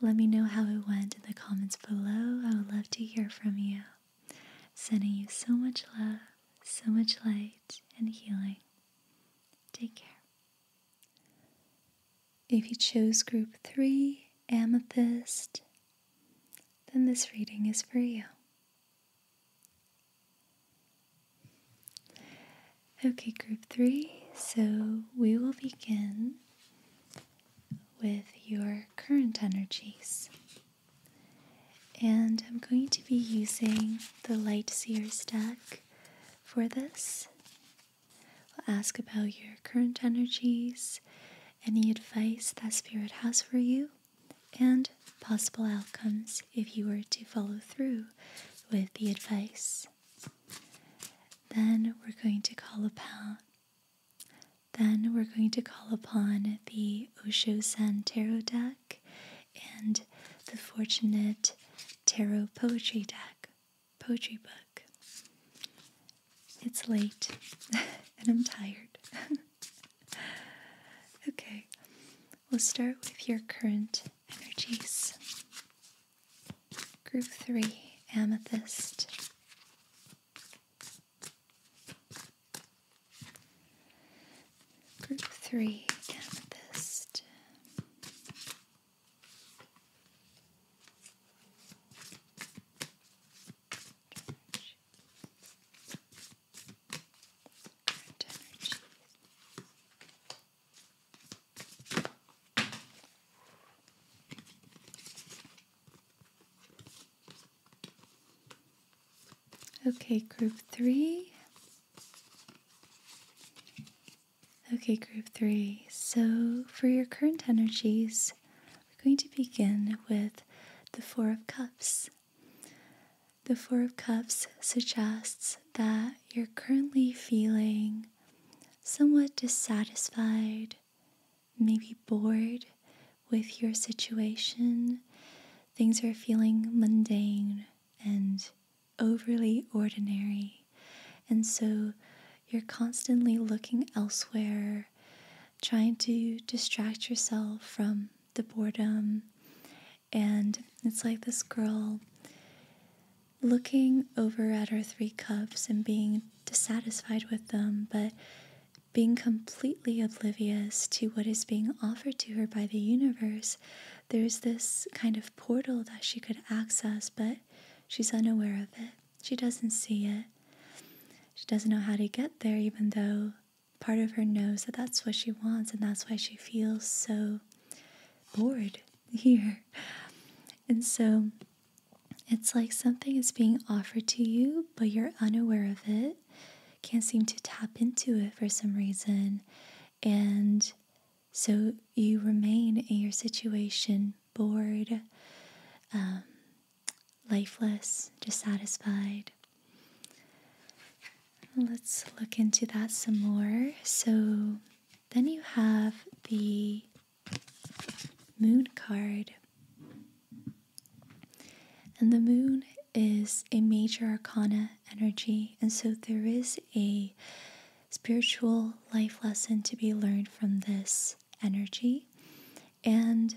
Let me know how it went in the comments below. I would love to hear from you. Sending you so much love, so much light, and healing. Take care. If you chose group three, amethyst, then this reading is for you. Okay, group three, so we will begin with your current energies. And I'm going to be using the Light Seer's deck for this. We'll ask about your current energies, any advice that Spirit has for you, and possible outcomes if you were to follow through with the advice. Then we're going to call upon. Then we're going to call upon the Osho San Tarot deck and the Fortunate Tarot Poetry deck poetry book. It's late and I'm tired. okay, we'll start with your current energies. Group 3 Amethyst. Group 3 Amethyst. Okay, group three. Okay, group three. So, for your current energies, we're going to begin with the Four of Cups. The Four of Cups suggests that you're currently feeling somewhat dissatisfied, maybe bored with your situation. Things are feeling mundane and overly ordinary. And so you're constantly looking elsewhere, trying to distract yourself from the boredom. And it's like this girl looking over at her three cups and being dissatisfied with them, but being completely oblivious to what is being offered to her by the universe. There's this kind of portal that she could access, but she's unaware of it. She doesn't see it. She doesn't know how to get there, even though part of her knows that that's what she wants, and that's why she feels so bored here. And so it's like something is being offered to you, but you're unaware of it, can't seem to tap into it for some reason. And so you remain in your situation, bored, um, lifeless, dissatisfied. Let's look into that some more. So then you have the moon card. And the moon is a major arcana energy, and so there is a spiritual life lesson to be learned from this energy. And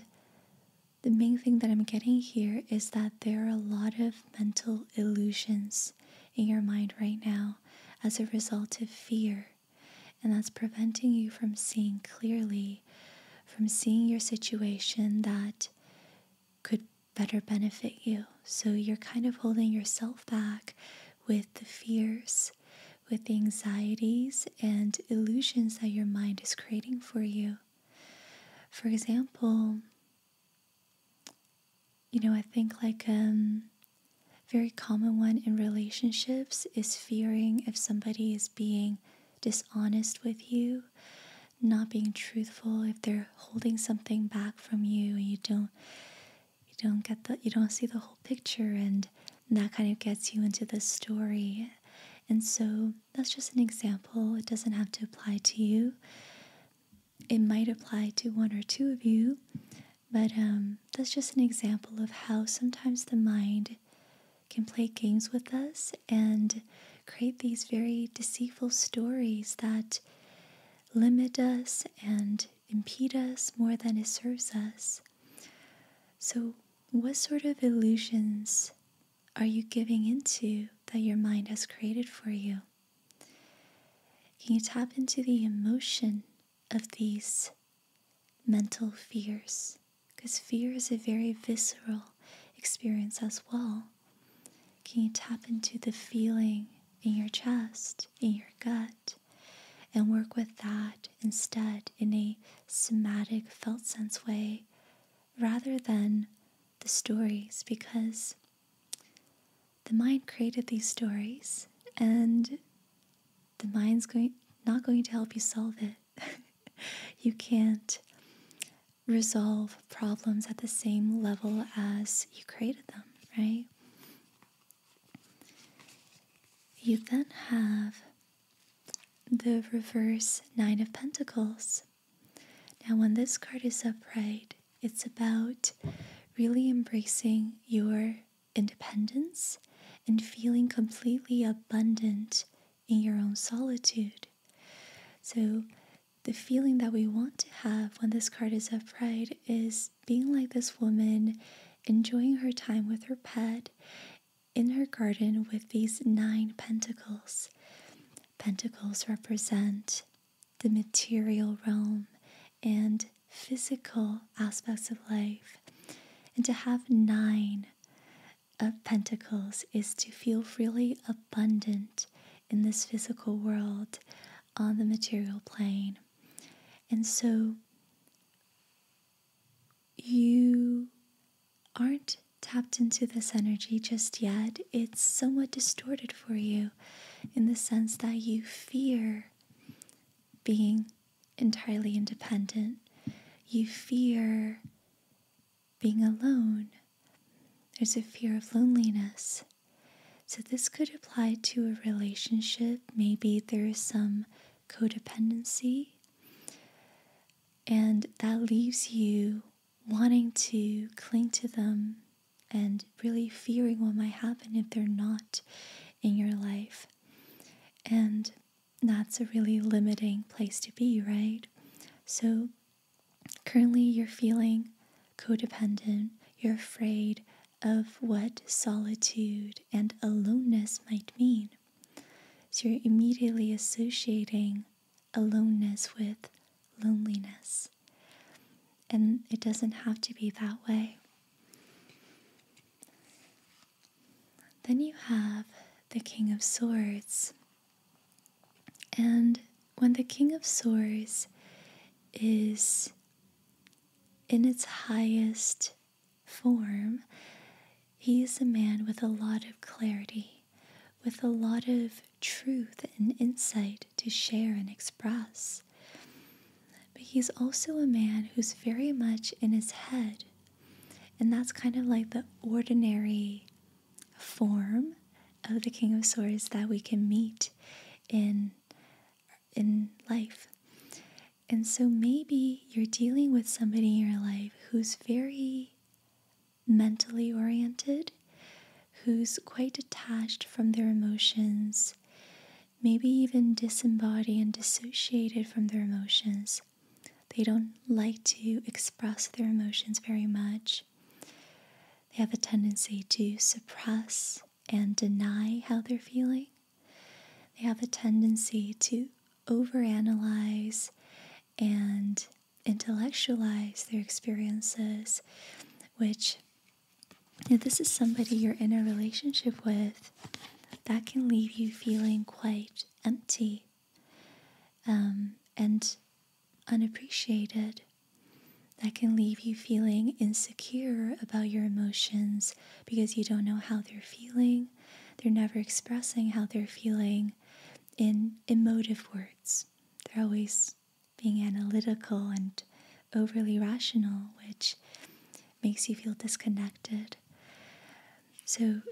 the main thing that I'm getting here is that there are a lot of mental illusions in your mind right now as a result of fear. And that's preventing you from seeing clearly, from seeing your situation that could better benefit you. So you're kind of holding yourself back with the fears with the anxieties and illusions that your mind is creating for you. For example, you know, I think like a um, very common one in relationships is fearing if somebody is being dishonest with you, not being truthful, if they're holding something back from you and you don't you don't get the you don't see the whole picture and that kind of gets you into this story and so that's just an example. It doesn't have to apply to you. It might apply to one or two of you, but um, that's just an example of how sometimes the mind can play games with us and create these very deceitful stories that limit us and impede us more than it serves us. So, what sort of illusions are you giving into that your mind has created for you? Can you tap into the emotion of these mental fears? Because fear is a very visceral experience as well. Can you tap into the feeling in your chest, in your gut, and work with that instead in a somatic felt sense way rather than the stories because the mind created these stories and the mind's going not going to help you solve it. you can't resolve problems at the same level as you created them, right? You then have the reverse Nine of Pentacles. Now, when this card is upright, it's about really embracing your independence and feeling completely abundant in your own solitude. So, the feeling that we want to have when this card is upright is being like this woman, enjoying her time with her pet, in her garden with these nine pentacles. Pentacles represent the material realm and physical aspects of life. And to have nine of pentacles is to feel really abundant in this physical world on the material plane. And so you aren't tapped into this energy just yet, it's somewhat distorted for you in the sense that you fear being entirely independent, you fear being alone. There's a fear of loneliness. So, this could apply to a relationship. Maybe there is some codependency. And that leaves you wanting to cling to them and really fearing what might happen if they're not in your life. And that's a really limiting place to be, right? So currently you're feeling codependent, you're afraid of what solitude and aloneness might mean. So you're immediately associating aloneness with loneliness. And it doesn't have to be that way. Then you have the King of Swords. And when the King of Swords is in its highest form, he is a man with a lot of clarity, with a lot of truth and insight to share and express. But he's also a man who's very much in his head. And that's kind of like the ordinary form of the King of Swords that we can meet in in life. And so maybe you're dealing with somebody in your life who's very mentally oriented, who's quite detached from their emotions, maybe even disembodied and dissociated from their emotions. They don't like to express their emotions very much. They have a tendency to suppress and deny how they're feeling. They have a tendency to overanalyze and intellectualize their experiences, which, if this is somebody you're in a relationship with, that can leave you feeling quite empty um, and unappreciated. That can leave you feeling insecure about your emotions because you don't know how they're feeling they're never expressing how they're feeling in emotive words. They're always being analytical and overly rational, which makes you feel disconnected. So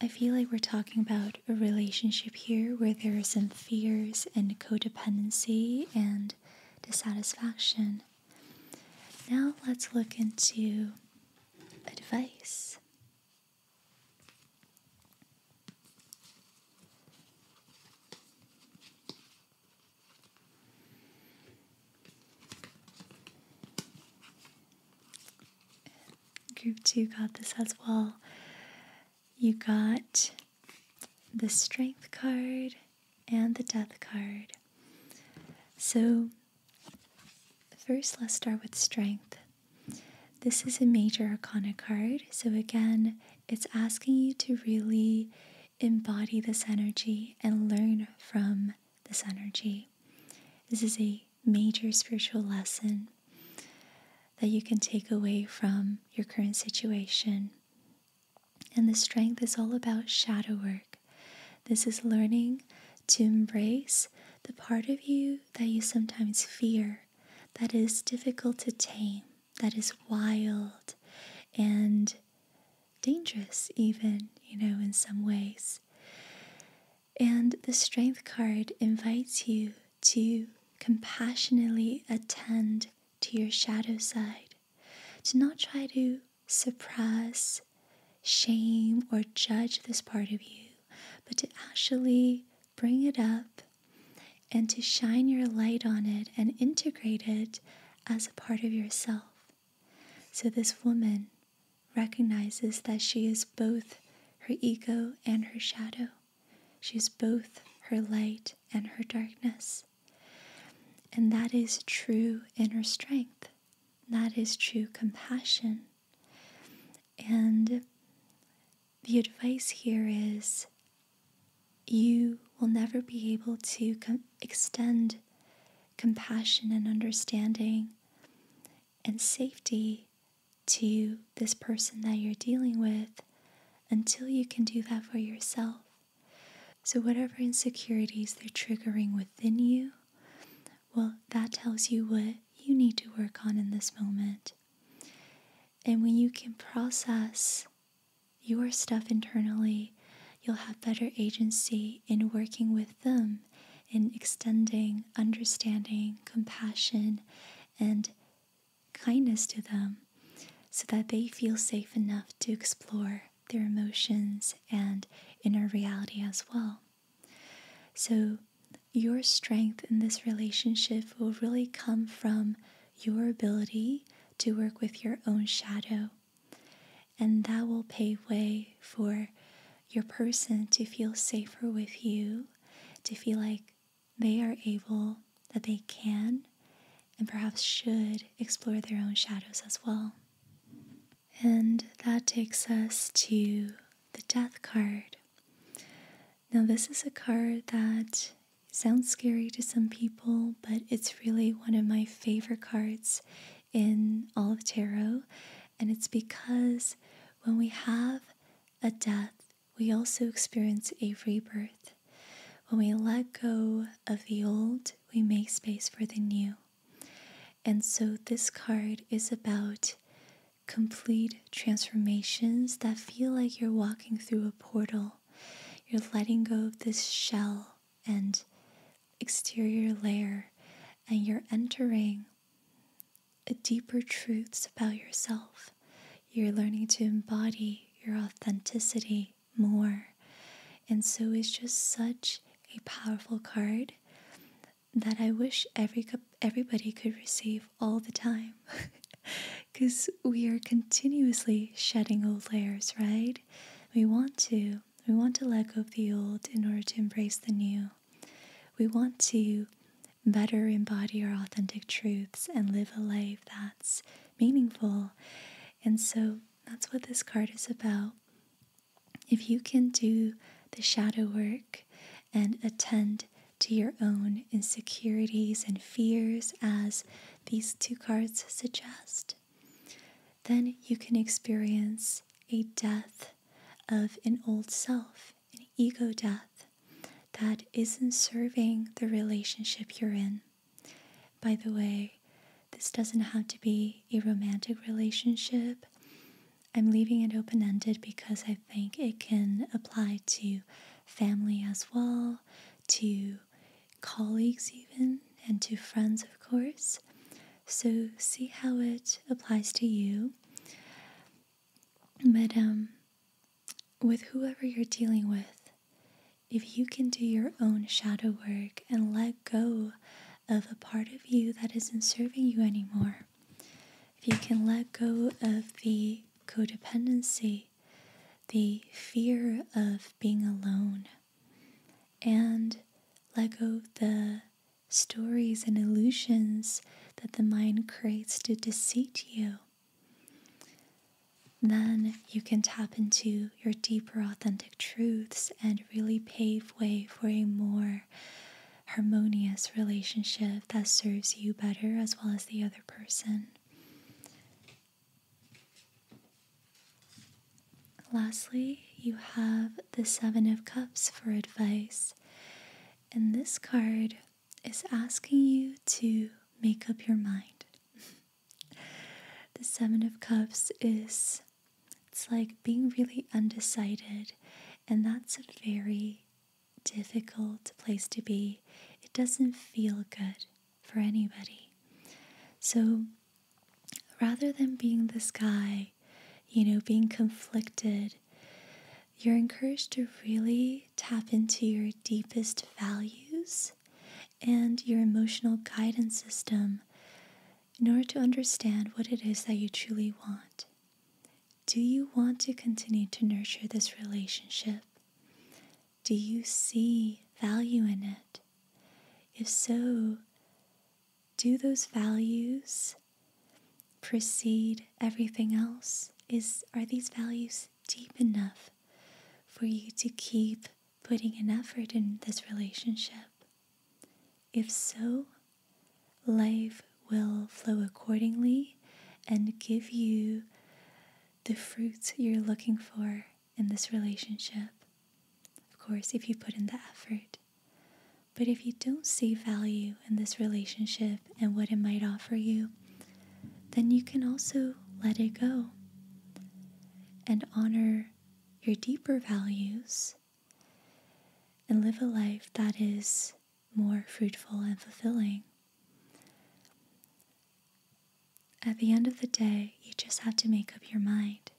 I feel like we're talking about a relationship here where there are some fears and codependency and dissatisfaction. Now let's look into advice. Group two got this as well. You got the strength card and the death card. So First, let's start with strength. This is a major iconic card, so again, it's asking you to really embody this energy and learn from this energy. This is a major spiritual lesson that you can take away from your current situation. And the strength is all about shadow work. This is learning to embrace the part of you that you sometimes fear, that is difficult to tame, that is wild and dangerous, even, you know, in some ways. And the Strength card invites you to compassionately attend to your shadow side, Do not try to suppress shame or judge this part of you, but to actually bring it up and to shine your light on it and integrate it as a part of yourself. So this woman recognizes that she is both her ego and her shadow. She's both her light and her darkness. And that is true inner strength. That is true compassion. And the advice here is you will never be able to extend compassion and understanding and safety to this person that you're dealing with until you can do that for yourself. So, whatever insecurities they're triggering within you, well, that tells you what you need to work on in this moment. And when you can process your stuff internally, you'll have better agency in working with them in extending understanding, compassion, and kindness to them so that they feel safe enough to explore their emotions and inner reality as well. So, your strength in this relationship will really come from your ability to work with your own shadow. And that will pave way for your person to feel safer with you, to feel like they are able, that they can, and perhaps should explore their own shadows as well. And that takes us to the Death card. Now, this is a card that sounds scary to some people, but it's really one of my favorite cards in all of tarot. And it's because when we have a death, we also experience a rebirth. When we let go of the old, we make space for the new. And so this card is about complete transformations that feel like you're walking through a portal. You're letting go of this shell and exterior layer, and you're entering a deeper truths about yourself. You're learning to embody your authenticity more. And so it's just such a powerful card that I wish every everybody could receive all the time because we are continuously shedding old layers, right? We want to. We want to let go of the old in order to embrace the new. We want to better embody our authentic truths and live a life that's meaningful. And so that's what this card is about. If you can do the shadow work and attend to your own insecurities and fears as these two cards suggest, then you can experience a death of an old self, an ego death that isn't serving the relationship you're in. By the way, this doesn't have to be a romantic relationship. I'm leaving it open ended because I think it can apply to family as well, to colleagues, even, and to friends, of course. So, see how it applies to you. But um, with whoever you're dealing with, if you can do your own shadow work and let go of a part of you that isn't serving you anymore, if you can let go of the codependency, the fear of being alone, and let go of the stories and illusions that the mind creates to deceive you, then you can tap into your deeper authentic truths and really pave way for a more harmonious relationship that serves you better as well as the other person. Lastly, you have the Seven of Cups for advice. And this card is asking you to make up your mind. the Seven of Cups is, it's like being really undecided, and that's a very difficult place to be. It doesn't feel good for anybody. So rather than being this guy, you know, being conflicted, you're encouraged to really tap into your deepest values and your emotional guidance system in order to understand what it is that you truly want. Do you want to continue to nurture this relationship? Do you see value in it? If so, do those values precede everything else? Is are these values deep enough for you to keep putting an effort in this relationship? If so, Life will flow accordingly and give you the fruits you're looking for in this relationship. Of course, if you put in the effort. But if you don't see value in this relationship and what it might offer you, then you can also let it go and honor your deeper values and live a life that is more fruitful and fulfilling. At the end of the day, you just have to make up your mind.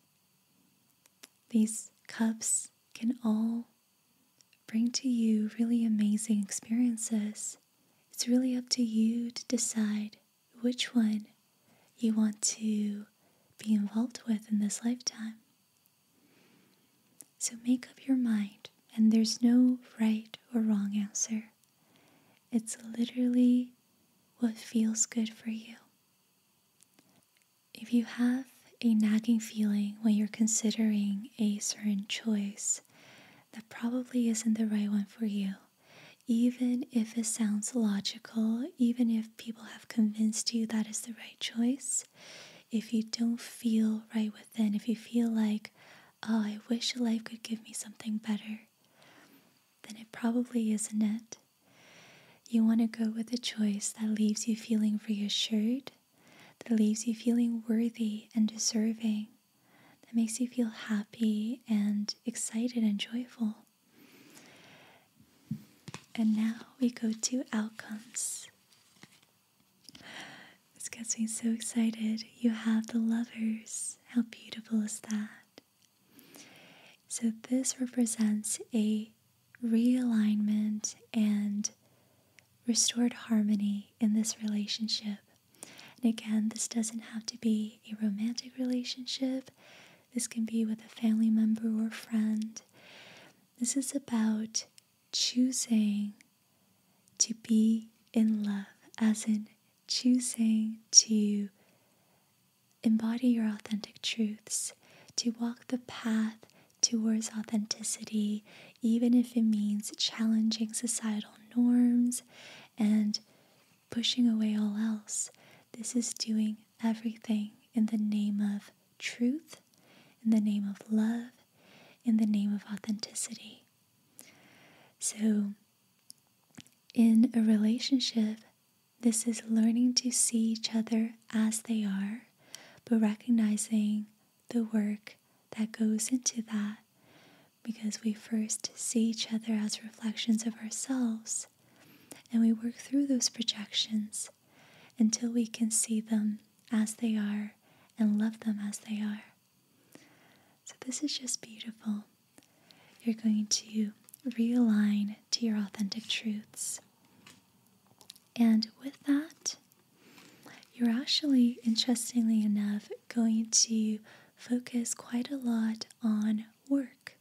These cups can all bring to you really amazing experiences. It's really up to you to decide which one you want to be involved with in this lifetime. So make up your mind, and there's no right or wrong answer. It's literally what feels good for you. If you have a nagging feeling when you're considering a certain choice, that probably isn't the right one for you. Even if it sounds logical, even if people have convinced you that is the right choice, if you don't feel right with. Then, if you feel like, oh, I wish life could give me something better, then it probably isn't it. You want to go with a choice that leaves you feeling reassured, that leaves you feeling worthy and deserving, that makes you feel happy and excited and joyful. And now we go to outcomes. This gets me so excited. You have the lovers. How beautiful is that? So, this represents a realignment and restored harmony in this relationship. And again, this doesn't have to be a romantic relationship, this can be with a family member or friend. This is about choosing to be in love, as in choosing to embody your authentic truths, to walk the path towards authenticity, even if it means challenging societal norms and pushing away all else. This is doing everything in the name of truth, in the name of love, in the name of authenticity. So, in a relationship, this is learning to see each other as they are, but recognizing the work that goes into that because we first see each other as reflections of ourselves and we work through those projections until we can see them as they are and love them as they are. So, this is just beautiful. You're going to realign to your authentic truths. And with that, you're actually, interestingly enough, going to focus quite a lot on work,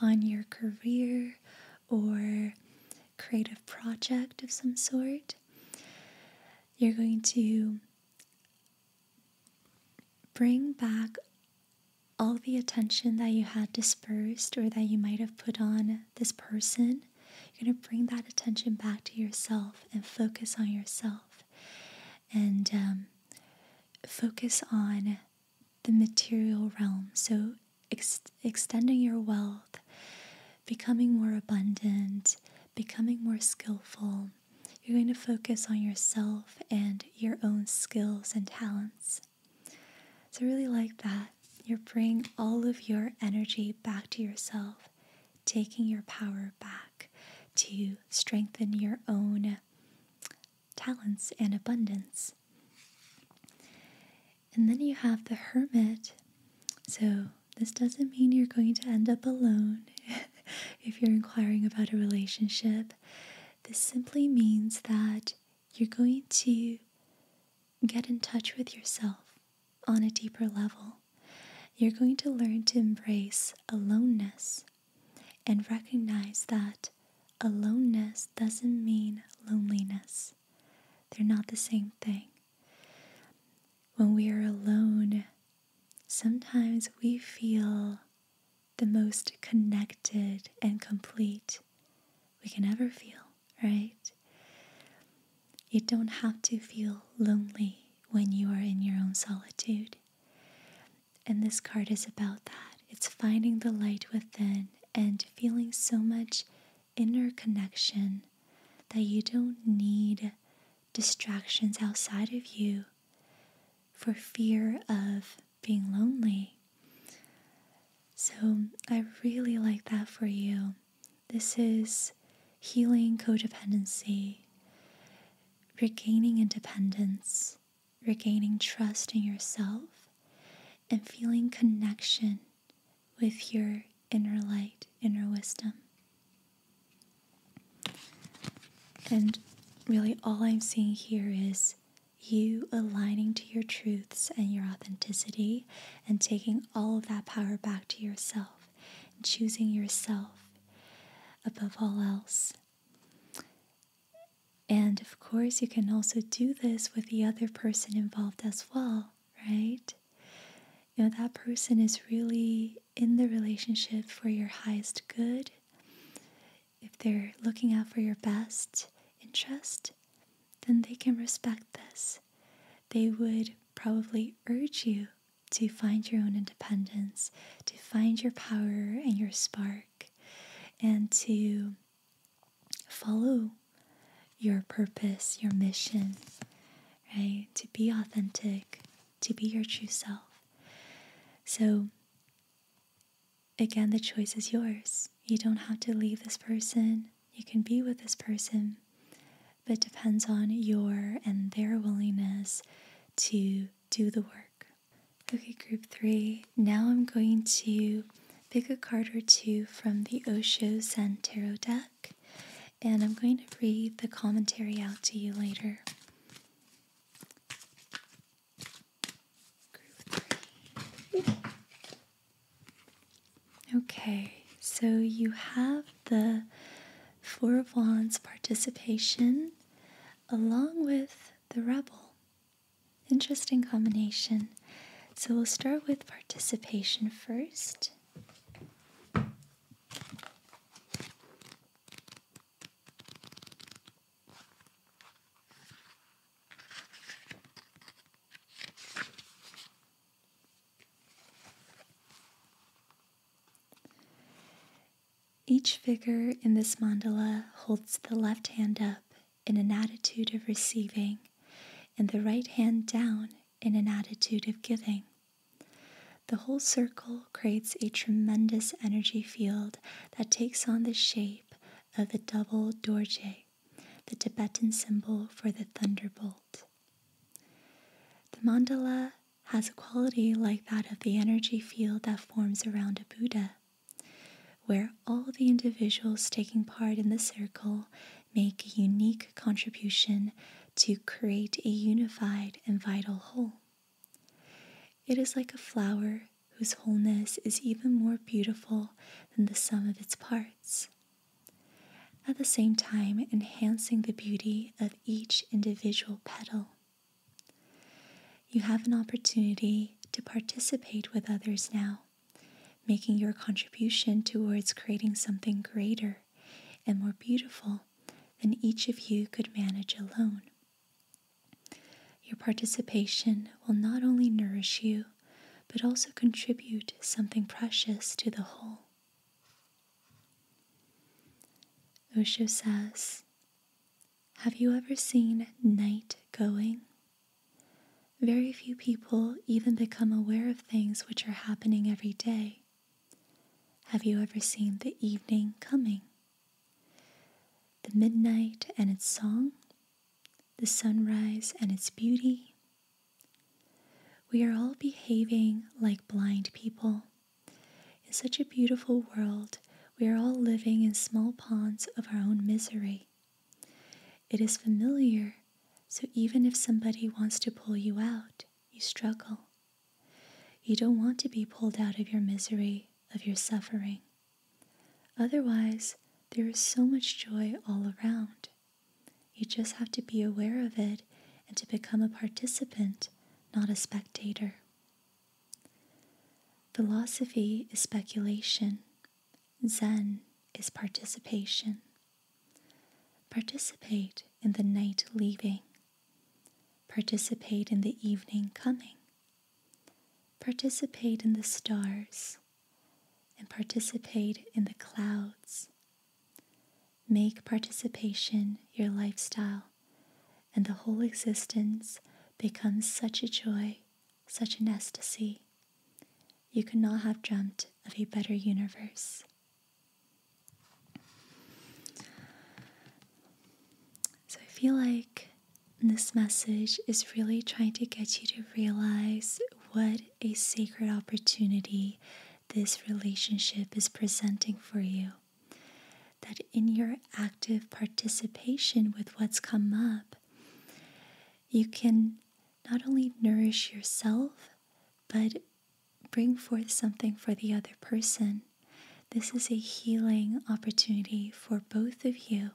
on your career or creative project of some sort. You're going to bring back all the attention that you had dispersed or that you might have put on this person. You're going to bring that attention back to yourself and focus on yourself and um, focus on the material realm. So, extending your wealth becoming more abundant, becoming more skillful. You're going to focus on yourself and your own skills and talents. So, I really like that. You're bringing all of your energy back to yourself, taking your power back to strengthen your own talents and abundance. And then you have the hermit. So, this doesn't mean you're going to end up alone if you're inquiring about a relationship. This simply means that you're going to get in touch with yourself on a deeper level. You're going to learn to embrace aloneness and recognize that aloneness doesn't mean loneliness. They're not the same thing. When we are alone, sometimes we feel the most connected and complete we can ever feel, right? You don't have to feel lonely when you are in your own solitude. And this card is about that. It's finding the light within and feeling so much inner connection that you don't need distractions outside of you for fear of being lonely. So I really like that for you. This is healing codependency, regaining independence, regaining trust in yourself, and feeling connection with your inner light, inner wisdom. And really, all I'm seeing here is you aligning to your truths and your authenticity and taking all of that power back to yourself and choosing yourself above all else. And of course, you can also do this with the other person involved as well, right? you know that person is really in the relationship for your highest good if they're looking out for your best interest then they can respect this they would probably urge you to find your own independence to find your power and your spark and to follow your purpose your mission right? To be authentic, to be your true self. So, again, the choice is yours. You don't have to leave this person, you can be with this person, but depends on your and their willingness to do the work. Okay, group three. Now I'm going to pick a card or two from the Osho San Tarot deck and I'm going to read the commentary out to you later. Okay, so you have the Four of Wands participation along with the Rebel. Interesting combination. So we'll start with participation first. Each figure in this mandala holds the left hand up in an attitude of receiving and the right hand down in an attitude of giving. The whole circle creates a tremendous energy field that takes on the shape of the double dorje, the Tibetan symbol for the thunderbolt. The mandala has a quality like that of the energy field that forms around a Buddha, where all the individuals taking part in the circle make a unique contribution to create a unified and vital whole. It is like a flower whose wholeness is even more beautiful than the sum of its parts. At the same time, enhancing the beauty of each individual petal. You have an opportunity to participate with others now, making your contribution towards creating something greater and more beautiful than each of you could manage alone. Your participation will not only nourish you, but also contribute something precious to the whole. Osho says, Have you ever seen night going? Very few people even become aware of things which are happening every day. Have you ever seen the evening coming? The midnight and its song, the sunrise and its beauty. We are all behaving like blind people. In such a beautiful world, we are all living in small ponds of our own misery. It is familiar, so even if somebody wants to pull you out, you struggle. You don't want to be pulled out of your misery, of your suffering. Otherwise, there is so much joy all around. You just have to be aware of it and to become a participant, not a spectator. Philosophy is speculation, Zen is participation. Participate in the night leaving. Participate in the evening coming. Participate in the stars and participate in the clouds. Make participation your lifestyle, and the whole existence becomes such a joy, such an ecstasy. You could not have dreamt of a better universe. So I feel like this message is really trying to get you to realize what a sacred opportunity this relationship is presenting for you. That in your active participation with what's come up, you can not only nourish yourself, but bring forth something for the other person. This is a healing opportunity for both of you.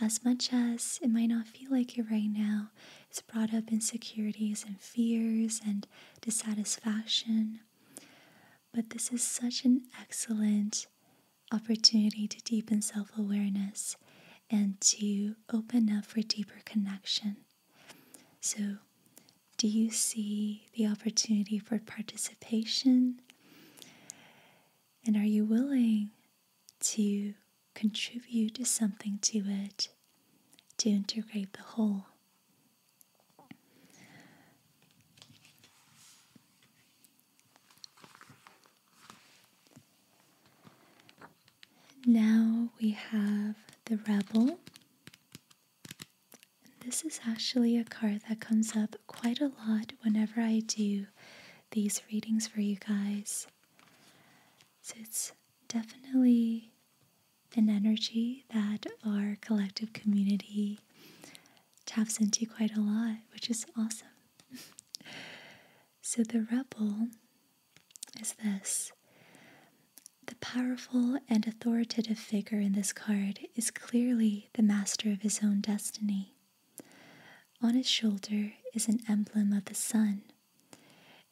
As much as it might not feel like it right now, it's brought up insecurities and fears and dissatisfaction. But this is such an excellent opportunity to deepen self awareness and to open up for deeper connection. So, do you see the opportunity for participation? And are you willing to contribute to something to it to integrate the whole? Now we have the rebel and this is actually a card that comes up quite a lot whenever I do these readings for you guys. So it's definitely an energy that our collective community taps into quite a lot, which is awesome. so the rebel is this the powerful and authoritative figure in this card is clearly the master of his own destiny. On his shoulder is an emblem of the sun,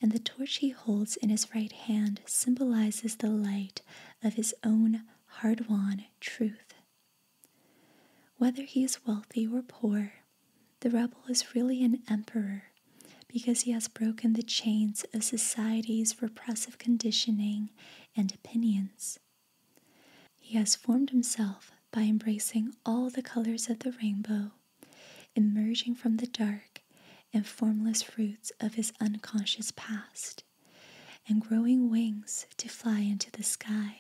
and the torch he holds in his right hand symbolizes the light of his own hard won truth. Whether he is wealthy or poor, the rebel is really an emperor because he has broken the chains of society's repressive conditioning and opinions. He has formed himself by embracing all the colors of the rainbow, emerging from the dark and formless roots of his unconscious past, and growing wings to fly into the sky.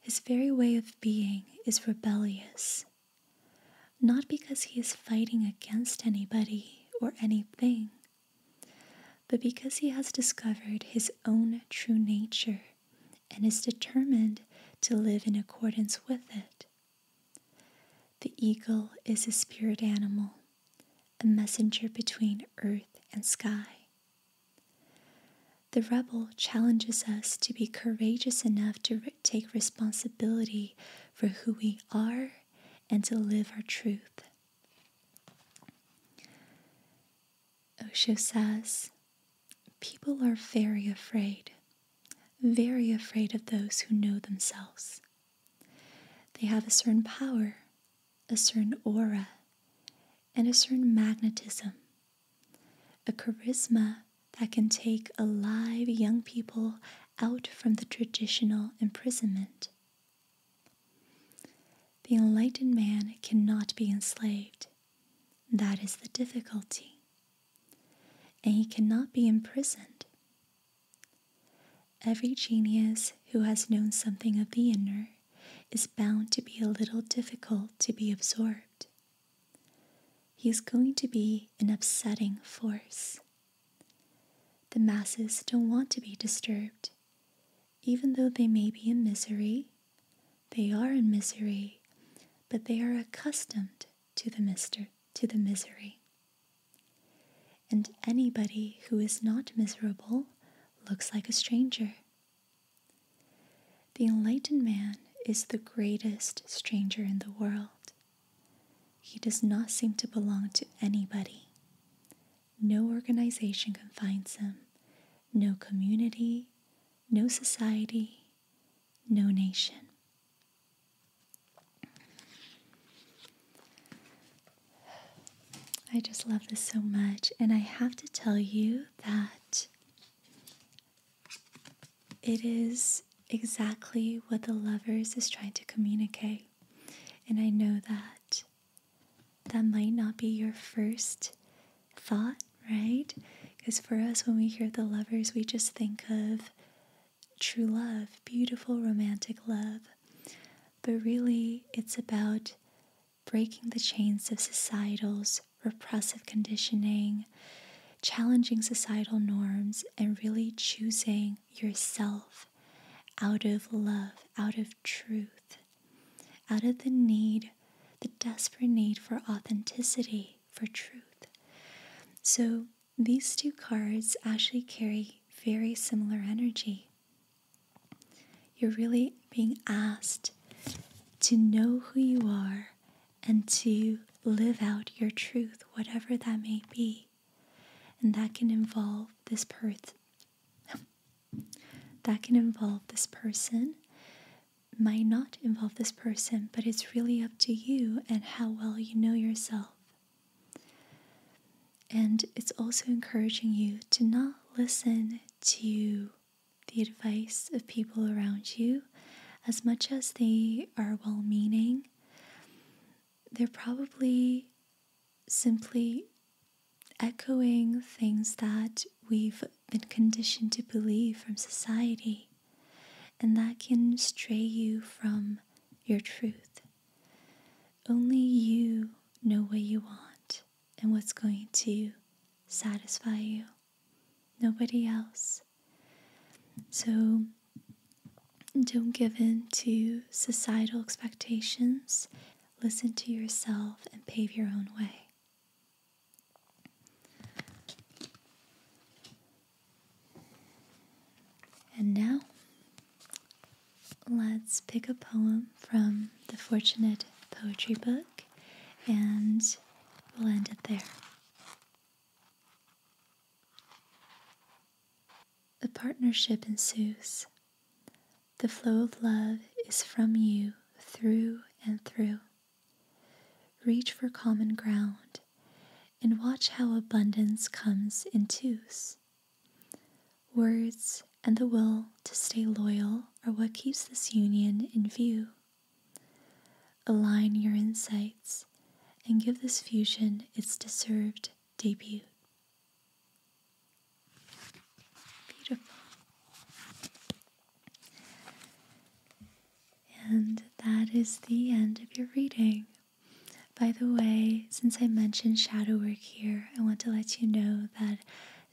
His very way of being is rebellious, not because he is fighting against anybody or anything, but because he has discovered his own true nature and is determined to live in accordance with it. The eagle is a spirit animal, a messenger between earth and sky. The rebel challenges us to be courageous enough to take responsibility for who we are and to live our truth. Osho says, People are very afraid, very afraid of those who know themselves. They have a certain power, a certain aura, and a certain magnetism, a charisma that can take alive young people out from the traditional imprisonment. The enlightened man cannot be enslaved. That is the difficulty. And he cannot be imprisoned. Every genius who has known something of the inner is bound to be a little difficult to be absorbed. He is going to be an upsetting force, the masses don't want to be disturbed. Even though they may be in misery, they are in misery, but they are accustomed to the mister to the misery. And anybody who is not miserable looks like a stranger. The enlightened man is the greatest stranger in the world. He does not seem to belong to anybody. No organization confines him, no community, no society, no nation. I just love this so much, and I have to tell you that it is exactly what the lovers is trying to communicate. And I know that that might not be your first thought, right? Because for us, when we hear the lovers, we just think of true love, beautiful romantic love. But really, it's about breaking the chains of societal's repressive conditioning, challenging societal norms, and really choosing yourself out of love, out of truth, out of the need, the desperate need for authenticity, for truth. So these two cards actually carry very similar energy. You're really being asked to know who you are and to live out your truth, whatever that may be. And that can involve this person. that can involve this person, might not involve this person, but it's really up to you and how well you know yourself. And it's also encouraging you to not listen to the advice of people around you as much as they are well meaning they're probably simply echoing things that we've been conditioned to believe from society, and that can stray you from your truth. Only you know what you want and what's going to satisfy you, nobody else. So, don't give in to societal expectations. Listen to yourself and pave your own way. And now, let's pick a poem from the Fortunate Poetry Book, and we'll end it there. The partnership ensues. The flow of love is from you through and through. Reach for common ground and watch how abundance comes in twos. Words and the will to stay loyal are what keeps this union in view. Align your insights and give this fusion its deserved debut. Beautiful. And that is the end of your reading. By the way, since I mentioned shadow work here, I want to let you know that I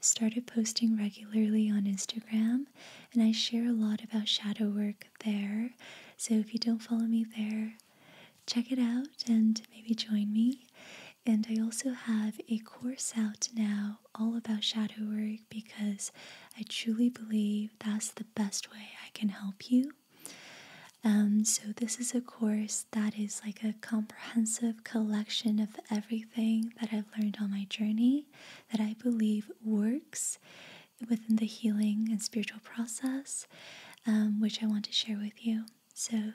started posting regularly on Instagram and I share a lot about shadow work there. So if you don't follow me there, check it out and maybe join me. And I also have a course out now all about shadow work because I truly believe that's the best way I can help you. Um, so, this is a course that is like a comprehensive collection of everything that I've learned on my journey that I believe works within the healing and spiritual process, um, which I want to share with you. So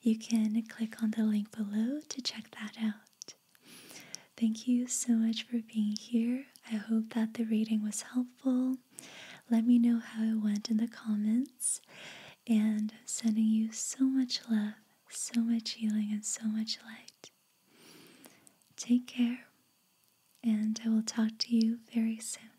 you can click on the link below to check that out. Thank you so much for being here. I hope that the reading was helpful. Let me know how it went in the comments. And sending you so much love, so much healing, and so much light. Take care, and I will talk to you very soon.